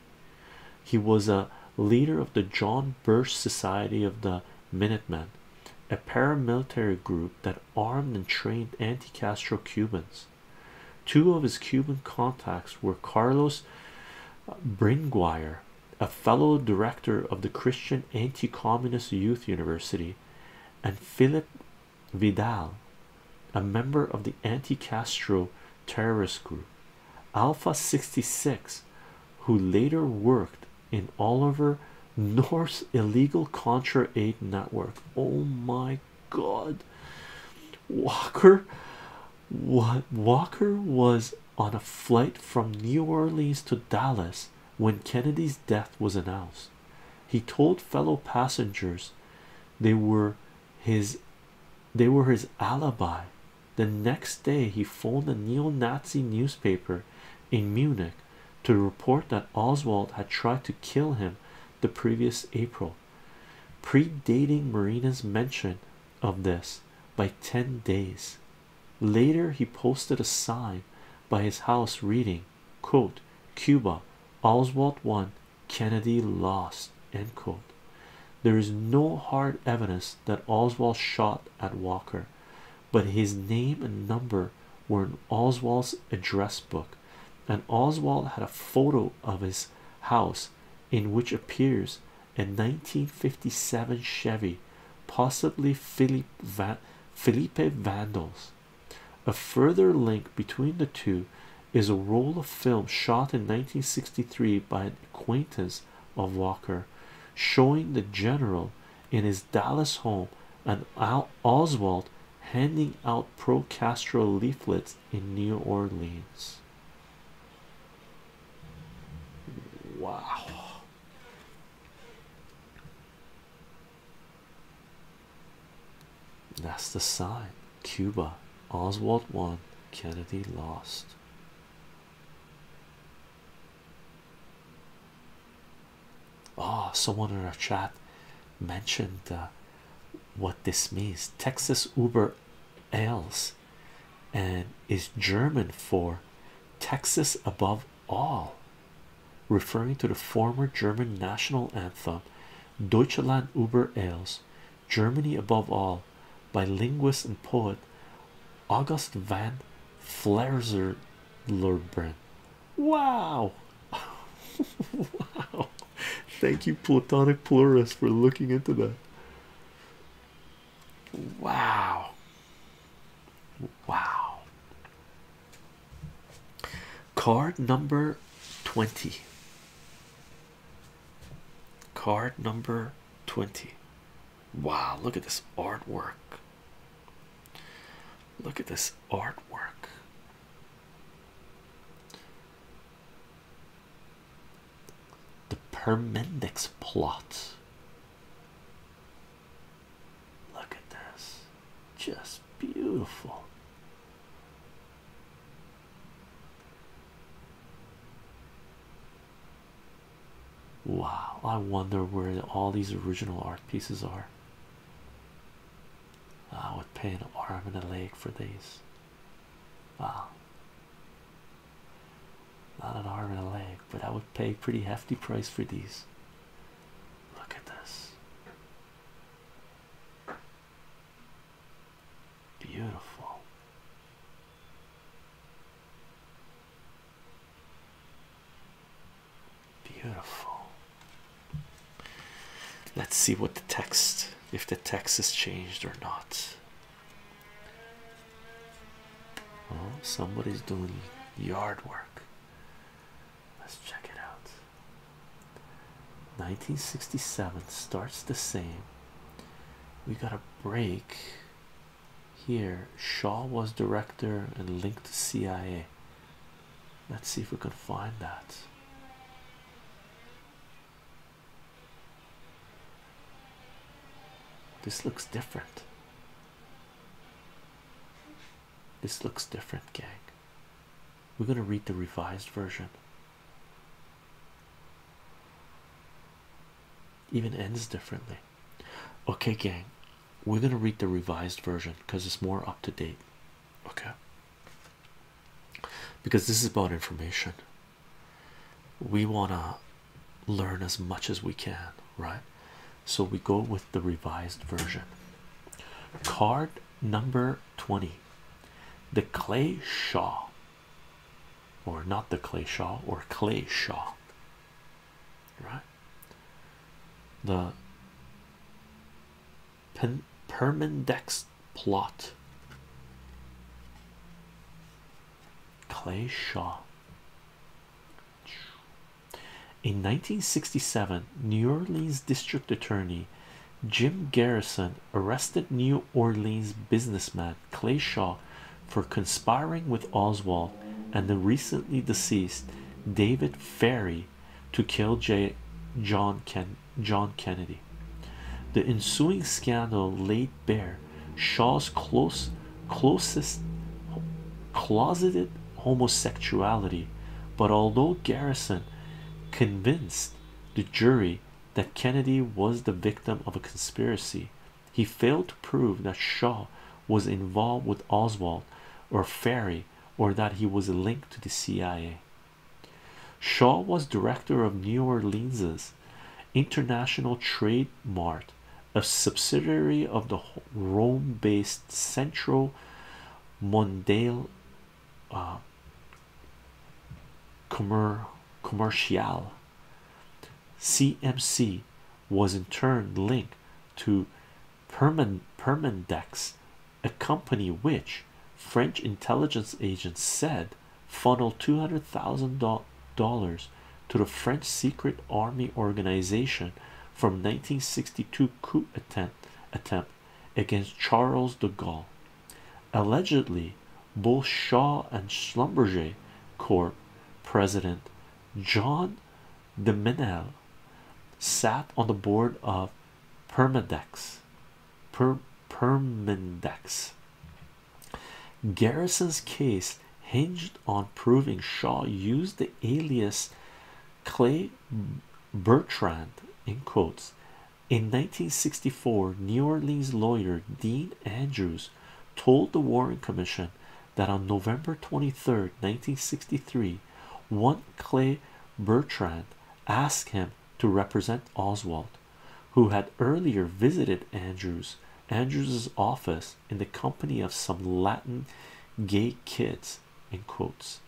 He was a leader of the John Birch Society of the Minutemen, a paramilitary group that armed and trained anti-Castro Cubans. Two of his Cuban contacts were Carlos Bringuier, a fellow director of the Christian Anti Communist Youth University, and Philip Vidal, a member of the Anti Castro terrorist group Alpha 66, who later worked in Oliver North's illegal Contra Aid network. Oh my god walker what walker was on a flight from new orleans to dallas when kennedy's death was announced he told fellow passengers they were his they were his alibi the next day he phoned a neo-nazi newspaper in munich to report that oswald had tried to kill him the previous April, predating Marina's mention of this by 10 days. Later, he posted a sign by his house reading, Cuba, Oswald won, Kennedy lost, There is no hard evidence that Oswald shot at Walker, but his name and number were in Oswald's address book and Oswald had a photo of his house in which appears a 1957 Chevy, possibly Philippe Va Felipe Vandals. A further link between the two is a roll of film shot in 1963 by an acquaintance of Walker, showing the general in his Dallas home and Oswald handing out pro Castro leaflets in New Orleans. Wow. That's the sign. Cuba. Oswald won. Kennedy lost. Oh, someone in our chat mentioned what this means. Texas Uber ales and is German for Texas above all, referring to the former German national anthem Deutschland Uber Alles, Germany above all, by linguist and poet August van Flerzerlorbren. Wow, wow. Thank you, Platonic Plurus, for looking into that. Wow. Wow. Card number 20. Card number 20. Wow, look at this artwork. Look at this artwork. The Permendix plot. Look at this, just beautiful. Wow, I wonder where all these original art pieces are. I ah, would pay an arm and a leg for these. Wow. Ah. Not an arm and a leg, but I would pay pretty hefty price for these. Look at this. Beautiful. Beautiful. Let's see what the text if the text is changed or not. Oh, somebody's doing yard work. Let's check it out. 1967 starts the same. We got a break here. Shaw was director and linked to CIA. Let's see if we can find that. This looks different. This looks different, gang. We're going to read the revised version. Even ends differently. Okay, gang, we're going to read the revised version because it's more up to date. Okay because this is about information. We want to learn as much as we can, right? So we go with the revised version. Card number 20 The Clay Shaw, or not the Clay Shaw, or Clay Shaw, right? The Pen Permandex plot. Clay Shaw. In 1967, New Orleans District Attorney Jim Garrison arrested New Orleans businessman Clay Shaw for conspiring with Oswald and the recently deceased David Ferry to kill John Kennedy. John Kennedy. The ensuing scandal laid bare Shaw's close, closest closeted homosexuality, but although Garrison convinced the jury that Kennedy was the victim of a conspiracy, he failed to prove that Shaw was involved with Oswald or Ferry or that he was a link to the CIA. Shaw was director of New Orleans's International Trade Mart, a subsidiary of the Rome-based Centro Mondale uh, Commercial. CMC was in turn linked to Permandex a company which French intelligence agents said funneled two hundred thousand dollars to the French secret army organization from 1962 coup attempt against Charles de Gaulle. Allegedly, both Shaw and Schlumberger Corp president John de sat on the board of Permadex, per Permindex. Garrison's case hinged on proving Shaw used the alias Clay Bertrand in quotes. In 1964, New Orleans lawyer Dean Andrews told the Warren Commission that on November 23, 1963, one Clay Bertrand asked him to represent Oswald who had earlier visited Andrews Andrews's office in the company of some Latin gay kids in quotes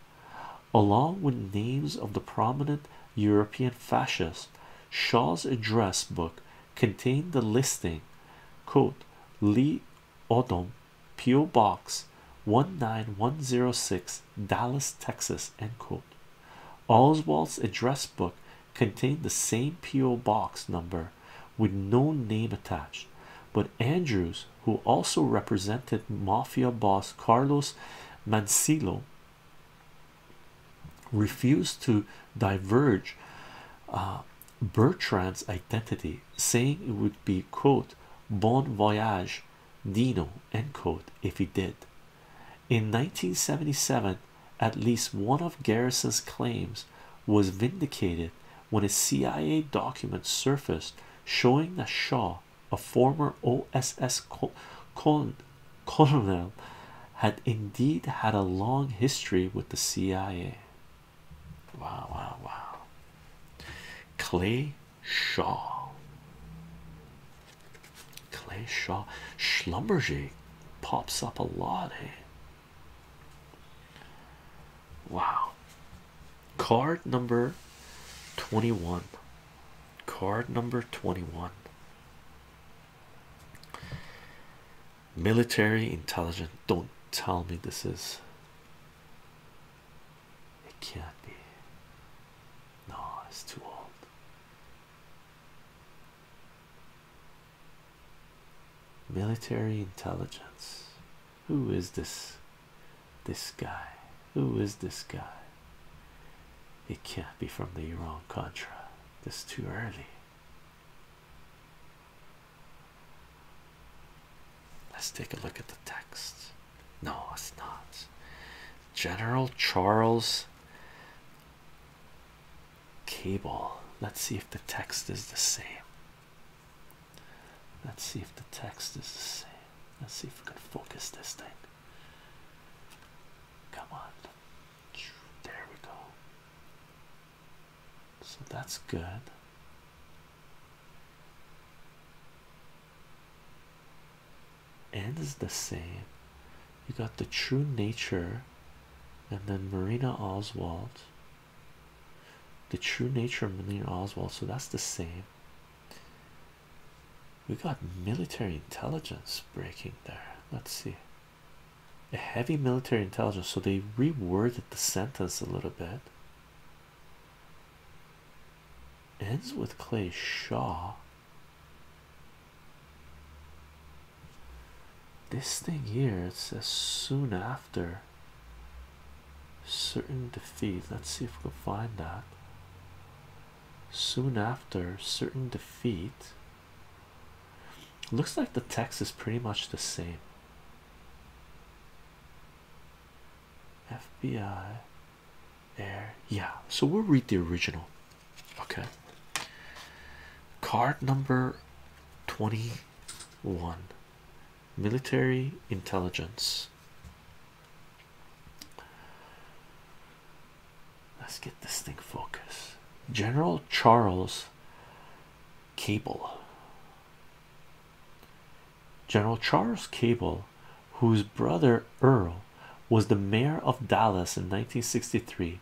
along with names of the prominent European fascists Shaw's address book contained the listing quote Lee Odom P.O. Box 19106 Dallas Texas end quote Oswald's address book contained the same P.O. box number with no name attached, but Andrews, who also represented mafia boss Carlos Mancillo, refused to diverge uh, Bertrand's identity, saying it would be quote bon voyage Dino if he did. In 1977, at least one of Garrison's claims was vindicated when a CIA document surfaced showing that Shaw, a former OSS col colonel, had indeed had a long history with the CIA. Wow, wow, wow. Clay Shaw. Clay Shaw Schlumberger pops up a lot, eh? Wow. Card number 21. Card number 21. Military intelligence. Don't tell me this is. It can't be. No, it's too old. Military intelligence. Who is this? This guy. Who is this guy? It can't be from the Iran Contra. This too early. Let's take a look at the text. No, it's not. General Charles Cable. Let's see if the text is the same. Let's see if the text is the same. Let's see if we can focus this thing. Come on. There we go. So that's good and is the same. You got the true nature, and then Marina Oswald. The true nature of Marina Oswald, so that's the same. We got military intelligence breaking there. Let's see. A heavy military intelligence, so they reworded the sentence a little bit ends with Clay Shaw. This thing here it says soon after certain defeat. Let's see if we can find that. Soon after certain defeat. Looks like the text is pretty much the same. FBI there yeah so we'll read the original okay card number 21 military intelligence let's get this thing focused general charles cable general charles cable whose brother earl was the mayor of Dallas in 1963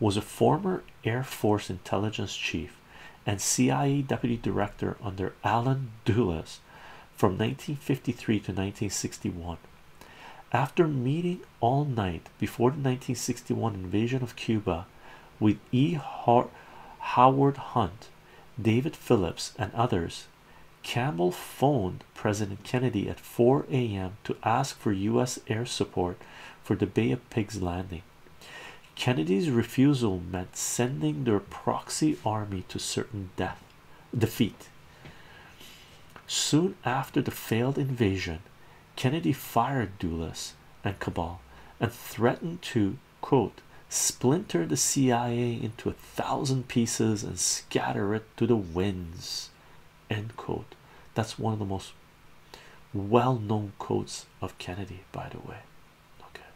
was a former Air Force intelligence chief and CIA deputy director under Alan Dulles from 1953 to 1961 after meeting all night before the 1961 invasion of Cuba with E. Howard Hunt David Phillips and others Campbell phoned President Kennedy at 4 a.m. to ask for U.S. air support for the Bay of Pigs landing. Kennedy's refusal meant sending their proxy army to certain death defeat. Soon after the failed invasion, Kennedy fired Dulles and Cabal and threatened to splinter the CIA into a thousand pieces and scatter it to the winds End quote. That's one of the most well-known quotes of Kennedy, by the way. Okay.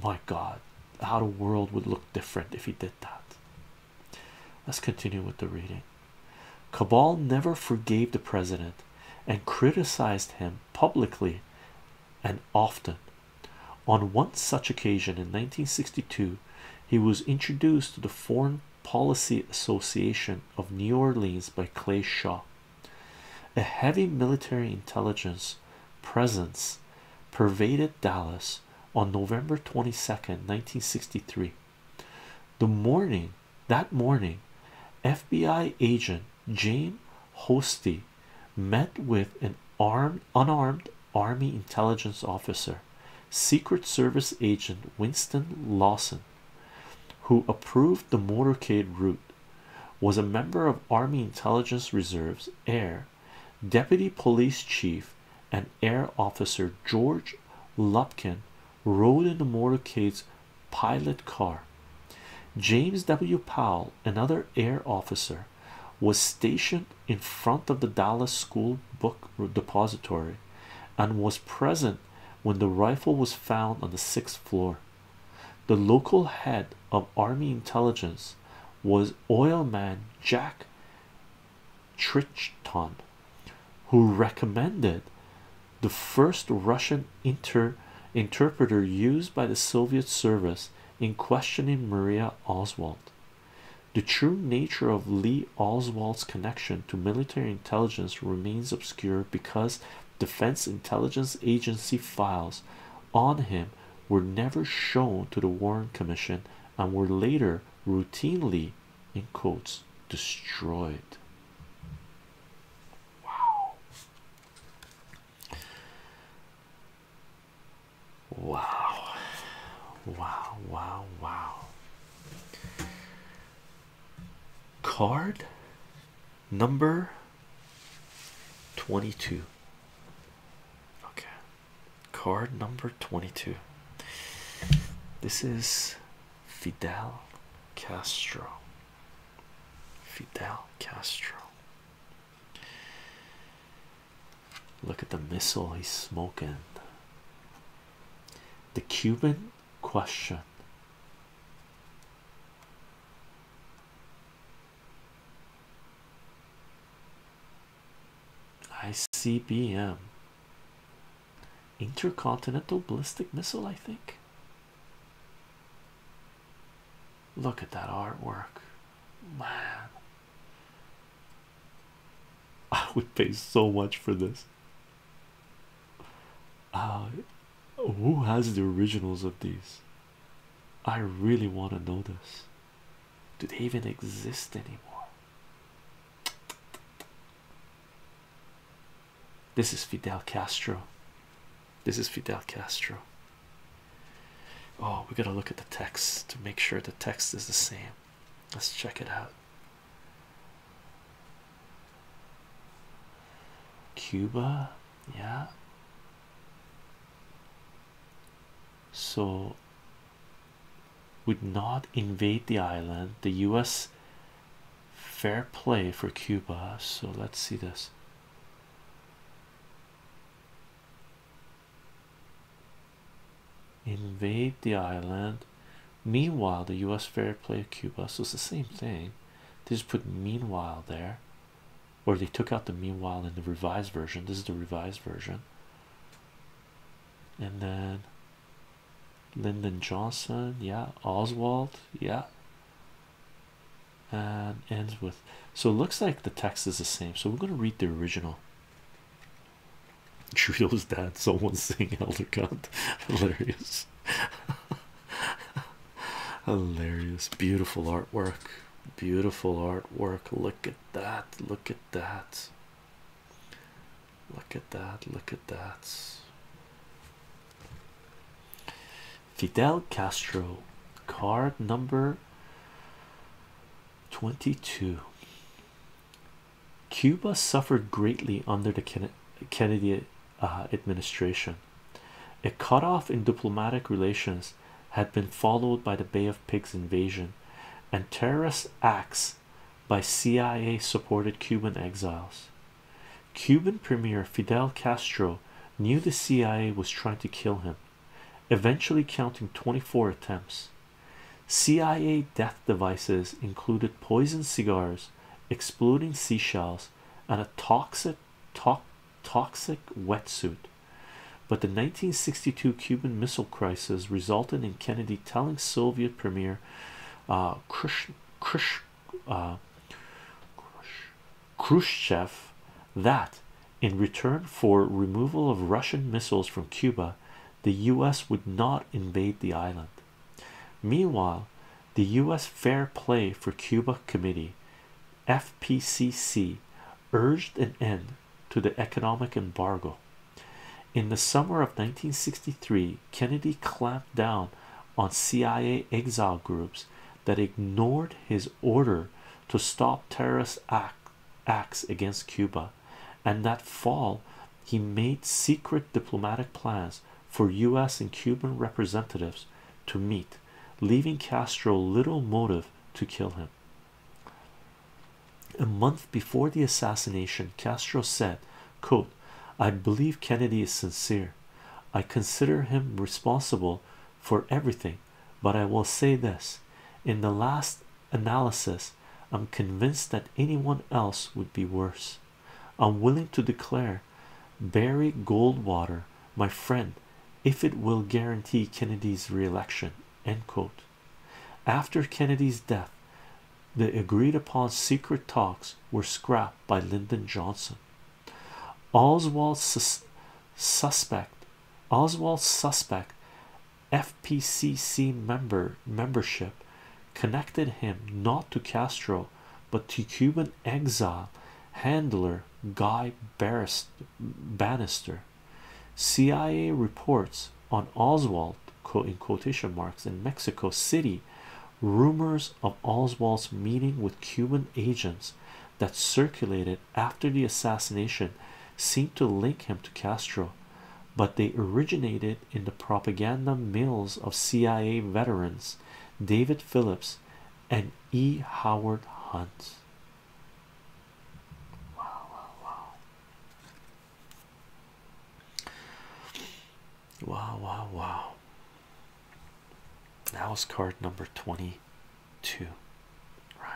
My God, how the world would look different if he did that. Let's continue with the reading. Cabal never forgave the president and criticized him publicly and often on one such occasion in 1962, he was introduced to the Foreign Policy Association of New Orleans by Clay Shaw. A heavy military intelligence presence pervaded Dallas on November 22, 1963. The morning that morning, FBI agent James Hosty met with an unarmed army intelligence officer Secret Service agent Winston Lawson, who approved the motorcade route, was a member of Army Intelligence Reserves Air Deputy Police Chief and Air Officer George Lupkin rode in the motorcade's pilot car. James W. Powell, another air officer, was stationed in front of the Dallas School Book Depository and was present when the rifle was found on the sixth floor. The local head of Army intelligence was oilman Jack Trichton, who recommended the first Russian inter interpreter used by the Soviet service in questioning Maria Oswald. The true nature of Lee Oswald's connection to military intelligence remains obscure because Defense Intelligence Agency files on him were never shown to the Warren Commission and were later routinely, in quotes, destroyed. Wow. Wow, wow, wow. Card number 22. Okay. Card number 22. This is Fidel Castro. Fidel Castro. Look at the missile he's smoking. The Cuban question. ICBM intercontinental ballistic missile, I think. Look at that artwork, man. I would pay so much for this. Uh, who has the originals of these? I really want to know this. Do they even exist anymore? This is Fidel Castro. This is Fidel Castro. Oh, we gotta look at the text to make sure the text is the same. Let's check it out. Cuba, yeah. So would not invade the island. The US fair play for Cuba. So let's see this invade the island meanwhile the u.s fair play of cuba so the same thing they just put meanwhile there or they took out the meanwhile in the revised version this is the revised version and then lyndon johnson yeah oswald yeah and ends with so it looks like the text is the same so we're going to read the original Trudeau's dad, someone saying elder god, hilarious, hilarious, beautiful artwork, beautiful artwork. Look at that, look at that, look at that, look at that. Fidel Castro, card number 22. Cuba suffered greatly under the Kennedy uh, administration. A cutoff in diplomatic relations had been followed by the Bay of Pigs invasion and terrorist acts by CIA supported Cuban exiles. Cuban Premier Fidel Castro knew the CIA was trying to kill him, eventually counting 24 attempts. CIA death devices included poison cigars, exploding seashells, and a toxic to toxic wetsuit. But the 1962 Cuban Missile Crisis resulted in Kennedy telling Soviet Premier uh, Khrush, Khrush, uh, Khrushchev that, in return for removal of Russian missiles from Cuba, the US would not invade the island. Meanwhile, the US Fair Play for Cuba Committee FPCC urged an end to the economic embargo. In the summer of 1963, Kennedy clamped down on CIA exile groups that ignored his order to stop terrorist acts against Cuba and that fall he made secret diplomatic plans for U.S. and Cuban representatives to meet, leaving Castro little motive to kill him. A month before the assassination, Castro said, quote, I believe Kennedy is sincere. I consider him responsible for everything, but I will say this in the last analysis, i'm convinced that anyone else would be worse i'm willing to declare barry goldwater my friend if it will guarantee kennedy's re-election after kennedy's death the agreed-upon secret talks were scrapped by lyndon johnson oswald suspect oswald suspect FPCC member membership connected him not to Castro but to Cuban exile handler Guy Bannister. CIA reports on Oswald in quotation marks in Mexico City rumors of Oswald's meeting with Cuban agents that circulated after the assassination seemed to link him to Castro but they originated in the propaganda mills of CIA veterans David Phillips and E. Howard Hunt. Wow, wow, wow. Wow, wow, wow. That was card number 22. Right.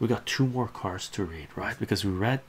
We got two more cards to read, right? Because we read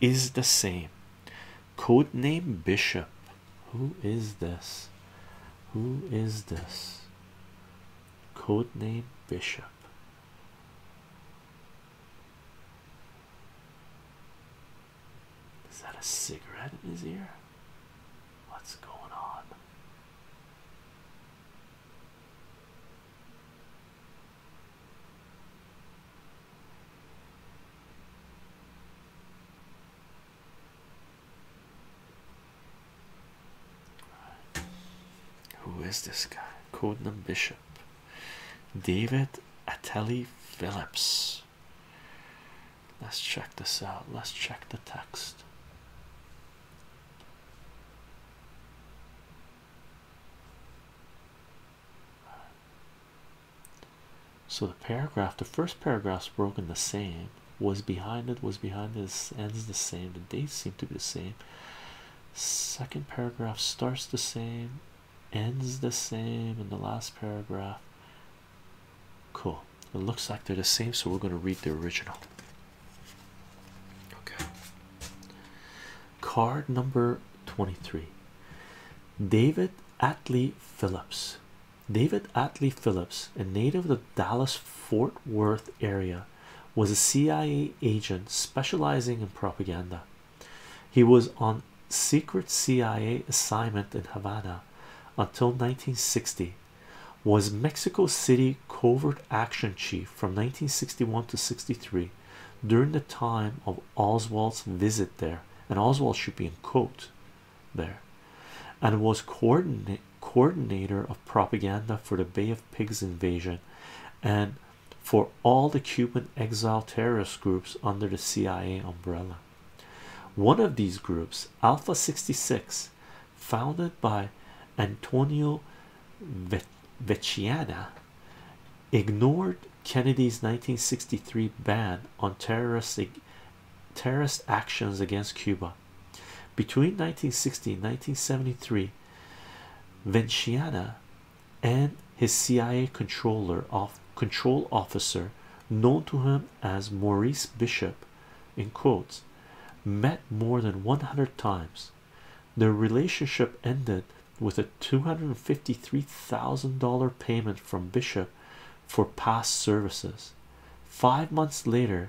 is the same. Codename Bishop. Who is this? Who is this? Codename Bishop. Is that a cigarette in his ear? What's going on? Who is this guy? Codename Bishop David Ateli Phillips. Let's check this out. Let's check the text so the paragraph the first paragraph's broken the same was behind it was behind this ends the same the dates seem to be the same second paragraph starts the same ends the same and the last paragraph cool it looks like they're the same so we're going to read the original okay Card number 23 David Atlee Phillips. David Atlee Phillips, a native of the Dallas Fort Worth area, was a CIA agent specializing in propaganda. He was on secret CIA assignment in Havana until 1960. Was Mexico City covert action chief from 1961 to 63 during the time of Oswald's visit there, and Oswald should be in coat there, and was coordinator of propaganda for the Bay of Pigs invasion and for all the Cuban exile terrorist groups under the CIA umbrella. One of these groups, Alpha 66, founded by Antonio Vecchiana ignored Kennedy's 1963 ban on terrorist terrorist actions against Cuba between 1960 and 1973 Venciana and his CIA controller control officer known to him as Maurice Bishop in quotes met more than 100 times their relationship ended with a $253,000 payment from Bishop for past services. Five months later,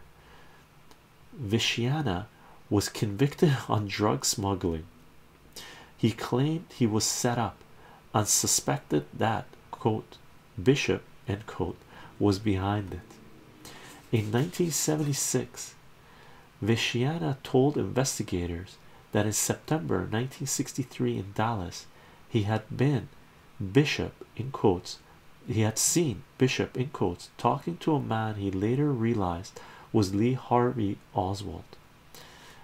Vishiana was convicted on drug smuggling. He claimed he was set up and suspected that, Bishop, was behind it. In 1976, Vishiana told investigators that in September 1963 in Dallas he had been Bishop in quotes he had seen Bishop in quotes talking to a man he later realized was Lee Harvey Oswald.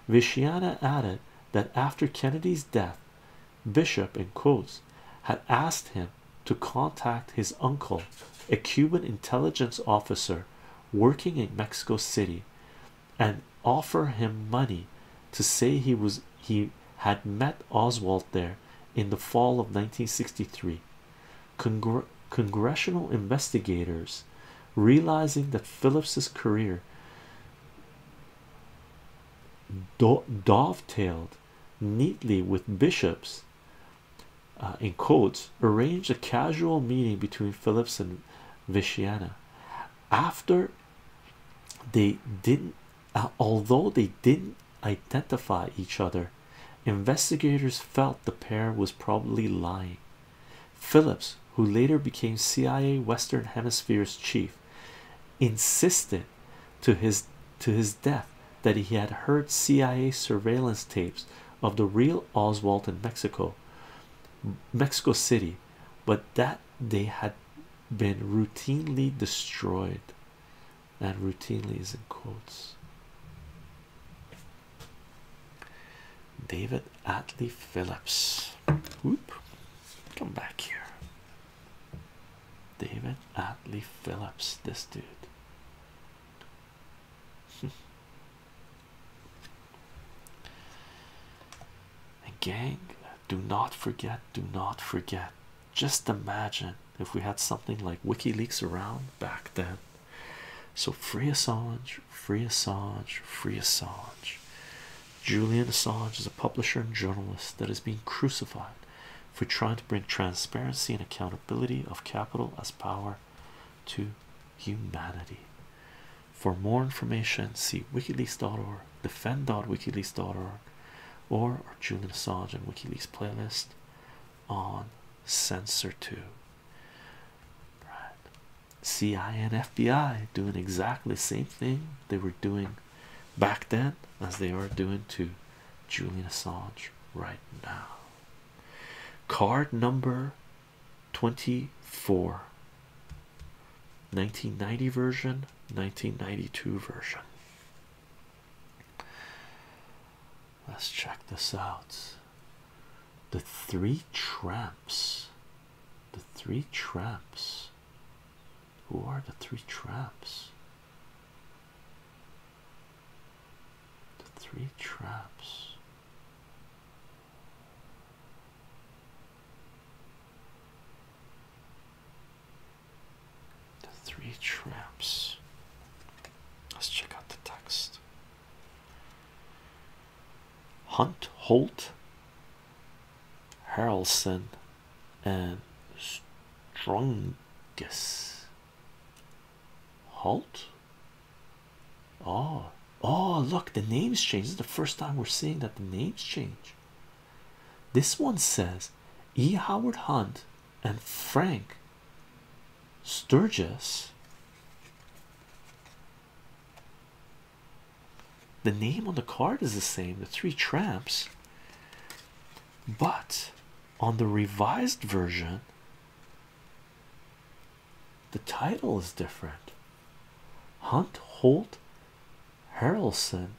Vichiana added that after Kennedy's death Bishop in quotes had asked him to contact his uncle a Cuban intelligence officer working in Mexico City and offer him money to say he was he had met Oswald there in the fall of 1963. congressional investigators, realizing that Phillips's career dovetailed neatly with Bishop's, uh, in quotes, arranged a casual meeting between Phillips and Vichiana after they didn't uh, although they didn't identify each other investigators felt the pair was probably lying phillips who later became cia western hemisphere's chief insisted to his to his death that he had heard cia surveillance tapes of the real oswald in mexico mexico city but that they had been routinely destroyed. And routinely is in quotes. David Atlee Phillips. Whoop. Come back here. David Atlee Phillips, this dude. And gang, do not forget, do not forget. Just imagine if we had something like WikiLeaks around back then. So free Assange, free Assange, free Assange. Julian Assange is a publisher and journalist that is being crucified for trying to bring transparency and accountability of capital as power to humanity. For more information, see wikileaks.org, defend.wikileaks.org, or our Julian Assange and WikiLeaks playlist on Censor2. Right. CIA and FBI doing exactly the same thing they were doing back then as they are doing to Julian Assange right now. Card number 24 1990 version 1992 version let's check this out the three tramps the three tramps who are the three tramps the three tramps the three traps. Let's check out the text. Hunt, Holt, Harrelson, and Strungus. Holt, Oh, oh, look, the names change. This is the first time we're seeing that the names change. This one says E. Howard Hunt and Frank Sturgis. The name on the card is the same, the three tramps, but on the revised version, the title is different. Hunt, Holt, Harrelson,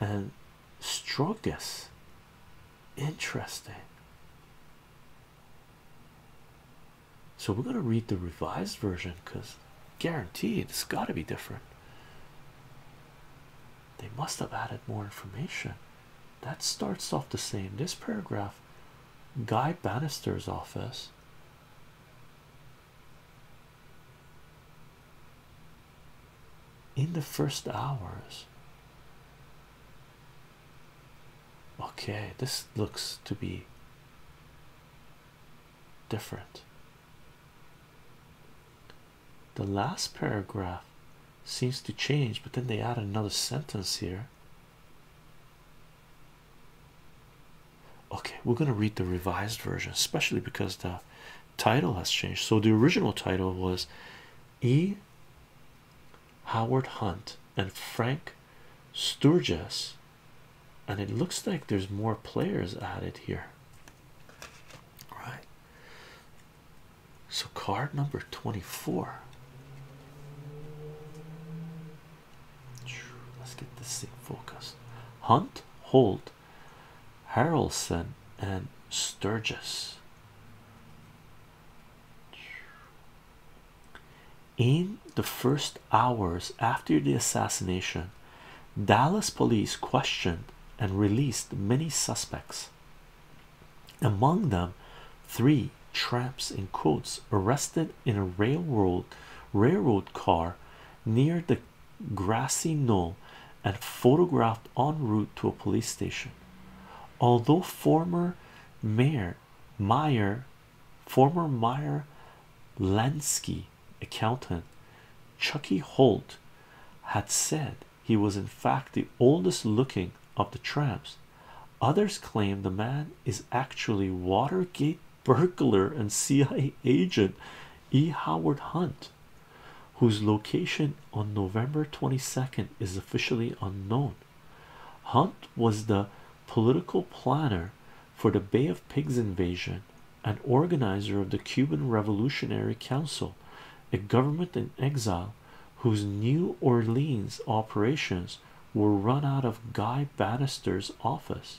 and Strogus. Interesting. So we're gonna read the revised version because guaranteed it's gotta be different. They must have added more information. That starts off the same. This paragraph, Guy Bannister's office in the first hours. Okay, this looks to be different. The last paragraph seems to change, but then they add another sentence here. Okay, we're going to read the revised version, especially because the title has changed. So, the original title was E. Howard Hunt and Frank Sturgis, and it looks like there's more players added here. All right, so card number 24. Let's get this thing focused. Hunt, Holt, Harrelson, and Sturgis. In the first hours after the assassination, Dallas police questioned and released many suspects, among them three tramps in coats arrested in a railroad railroad car near the grassy knoll and photographed en route to a police station. Although former mayor Meyer, former Meyer Lansky accountant Chucky Holt had said he was in fact the oldest looking of the tramps. Others claim the man is actually Watergate burglar and CIA agent E. Howard Hunt, whose location on November 22 is officially unknown. Hunt was the political planner for the Bay of Pigs invasion and organizer of the Cuban Revolutionary Council, a government in exile whose New Orleans operations were run out of Guy Bannister's office.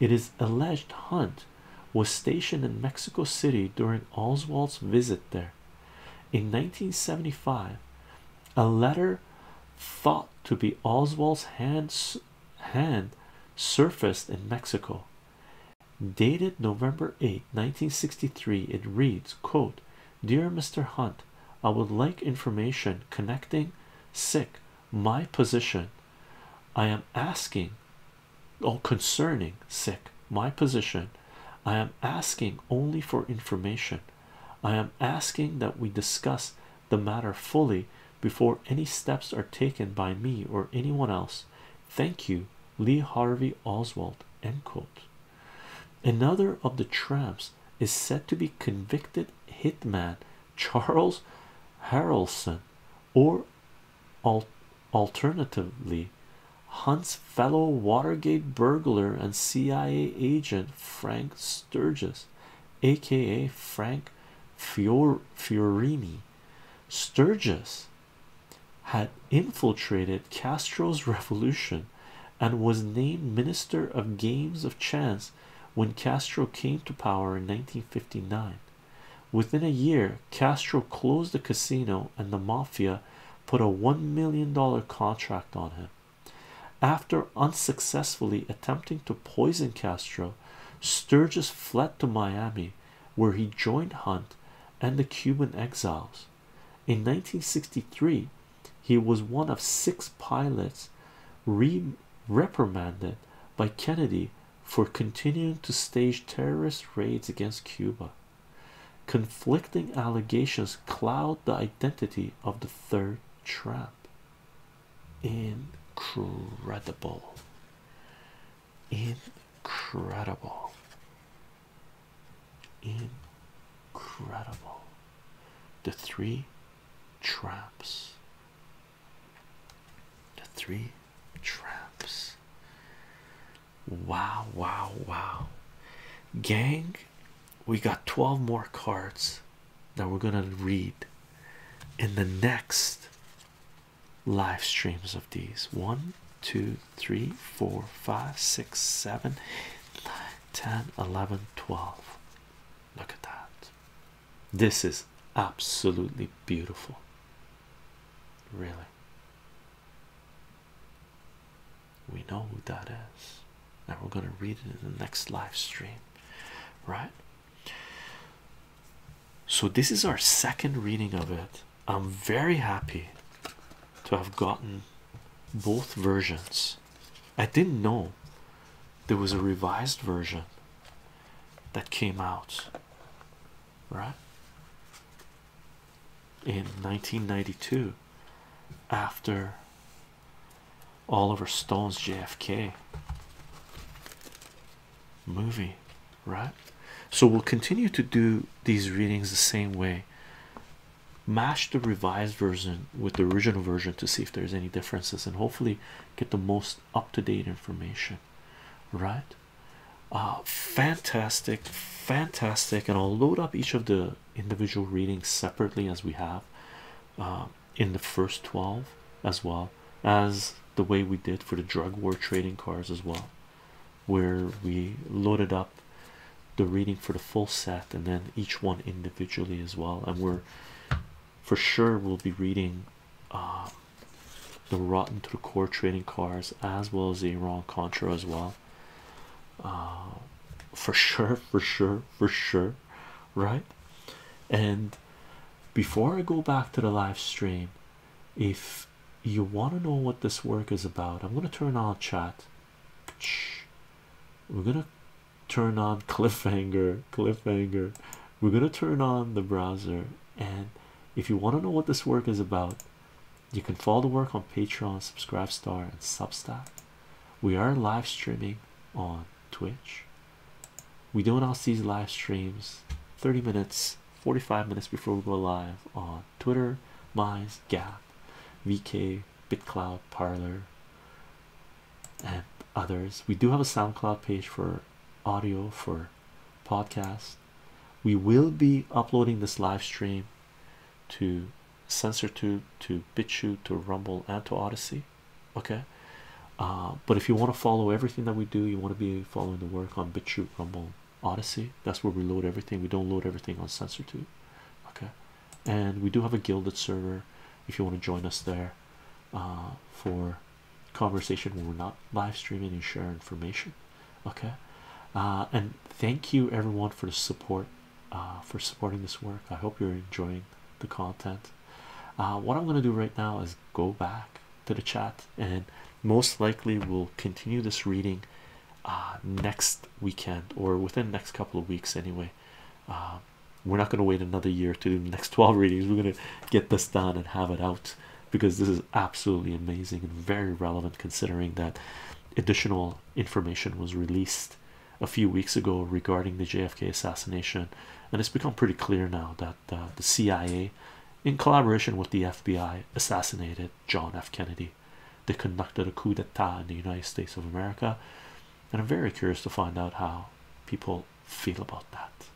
It is alleged Hunt was stationed in Mexico City during Oswald's visit there. In 1975, a letter thought to be Oswald's hand, surfaced in Mexico. Dated November 8, 1963, it reads, Dear Mr. Hunt, I would like information connecting sick my position I am asking or oh, concerning sick my position I am asking only for information I am asking that we discuss the matter fully before any steps are taken by me or anyone else thank you Lee Harvey Oswald another of the tramps is said to be convicted hitman Charles Harrelson, or alternatively, Hunt's fellow Watergate burglar and CIA agent Frank Sturgis, aka Frank Fior Fiorini. Sturgis had infiltrated Castro's revolution and was named Minister of Games of Chance when Castro came to power in 1959. Within a year, Castro closed the casino and the mafia put a one million dollar contract on him. After unsuccessfully attempting to poison Castro, Sturgis fled to Miami where he joined Hunt and the Cuban exiles. In 1963, he was one of six pilots reprimanded by Kennedy for continuing to stage terrorist raids against Cuba. Conflicting allegations cloud the identity of the third tramp. Incredible, incredible, incredible. The three traps the three traps. Wow, wow, wow. Gang, we got 12 more cards that we're gonna read in the next live streams of these one, two, three, four, five, six, seven, nine, 10, 11, 12. Look at that. This is absolutely beautiful, really. We know who that is, and we're going to read it in the next live stream, right? So, this is our second reading of it. I'm very happy to have gotten both versions. I didn't know there was a revised version that came out right in 1992 after Oliver Stone's JFK movie, right? So we'll continue to do these readings the same way. Match the revised version with the original version to see if there's any differences and hopefully get the most up-to-date information right uh, fantastic fantastic and i'll load up each of the individual readings separately as we have uh, in the first 12 as well as the way we did for the drug war trading cards as well where we loaded up the reading for the full set and then each one individually as well and we're for sure we'll be reading um, the rotten to the core trading cards as well as the Iran Contra as well. Uh, for sure, for sure, for sure, right? And before I go back to the live stream, if you want to know what this work is about, I'm going to turn on chat. We're going to turn on cliffhanger, cliffhanger. We're going to turn on the browser and if you want to know what this work is about you can follow the work on patreon subscribe star and substack we are live streaming on twitch we do announce these live streams 30 minutes 45 minutes before we go live on twitter Mize, gap vk bitcloud parlor and others we do have a soundcloud page for audio for podcast. We will be uploading this live stream to SensorTube, to BitChute, to Rumble, and to Odyssey. Okay, uh, but if you want to follow everything that we do, you want to be following the work on BitChute, Rumble, Odyssey. That's where we load everything. We don't load everything on SensorTube. Okay, and we do have a Gilded server if you want to join us there uh, for conversation when we're not live streaming and share information okay uh, and thank you everyone for the support uh, for supporting this work i hope you're enjoying the content uh, what i'm going to do right now is go back to the chat and most likely we'll continue this reading next weekend or within next couple of weeks anyway we're not going to wait another year to do the next 12 readings we're going to get this done and have it out because this is absolutely amazing and very relevant considering that additional information was released a few weeks ago regarding the JFK assassination and it's become pretty clear now that uh, the CIA in collaboration with the FBI assassinated John F Kennedy they conducted a coup d'etat in the United States of America and I'm very curious to find out how people feel about that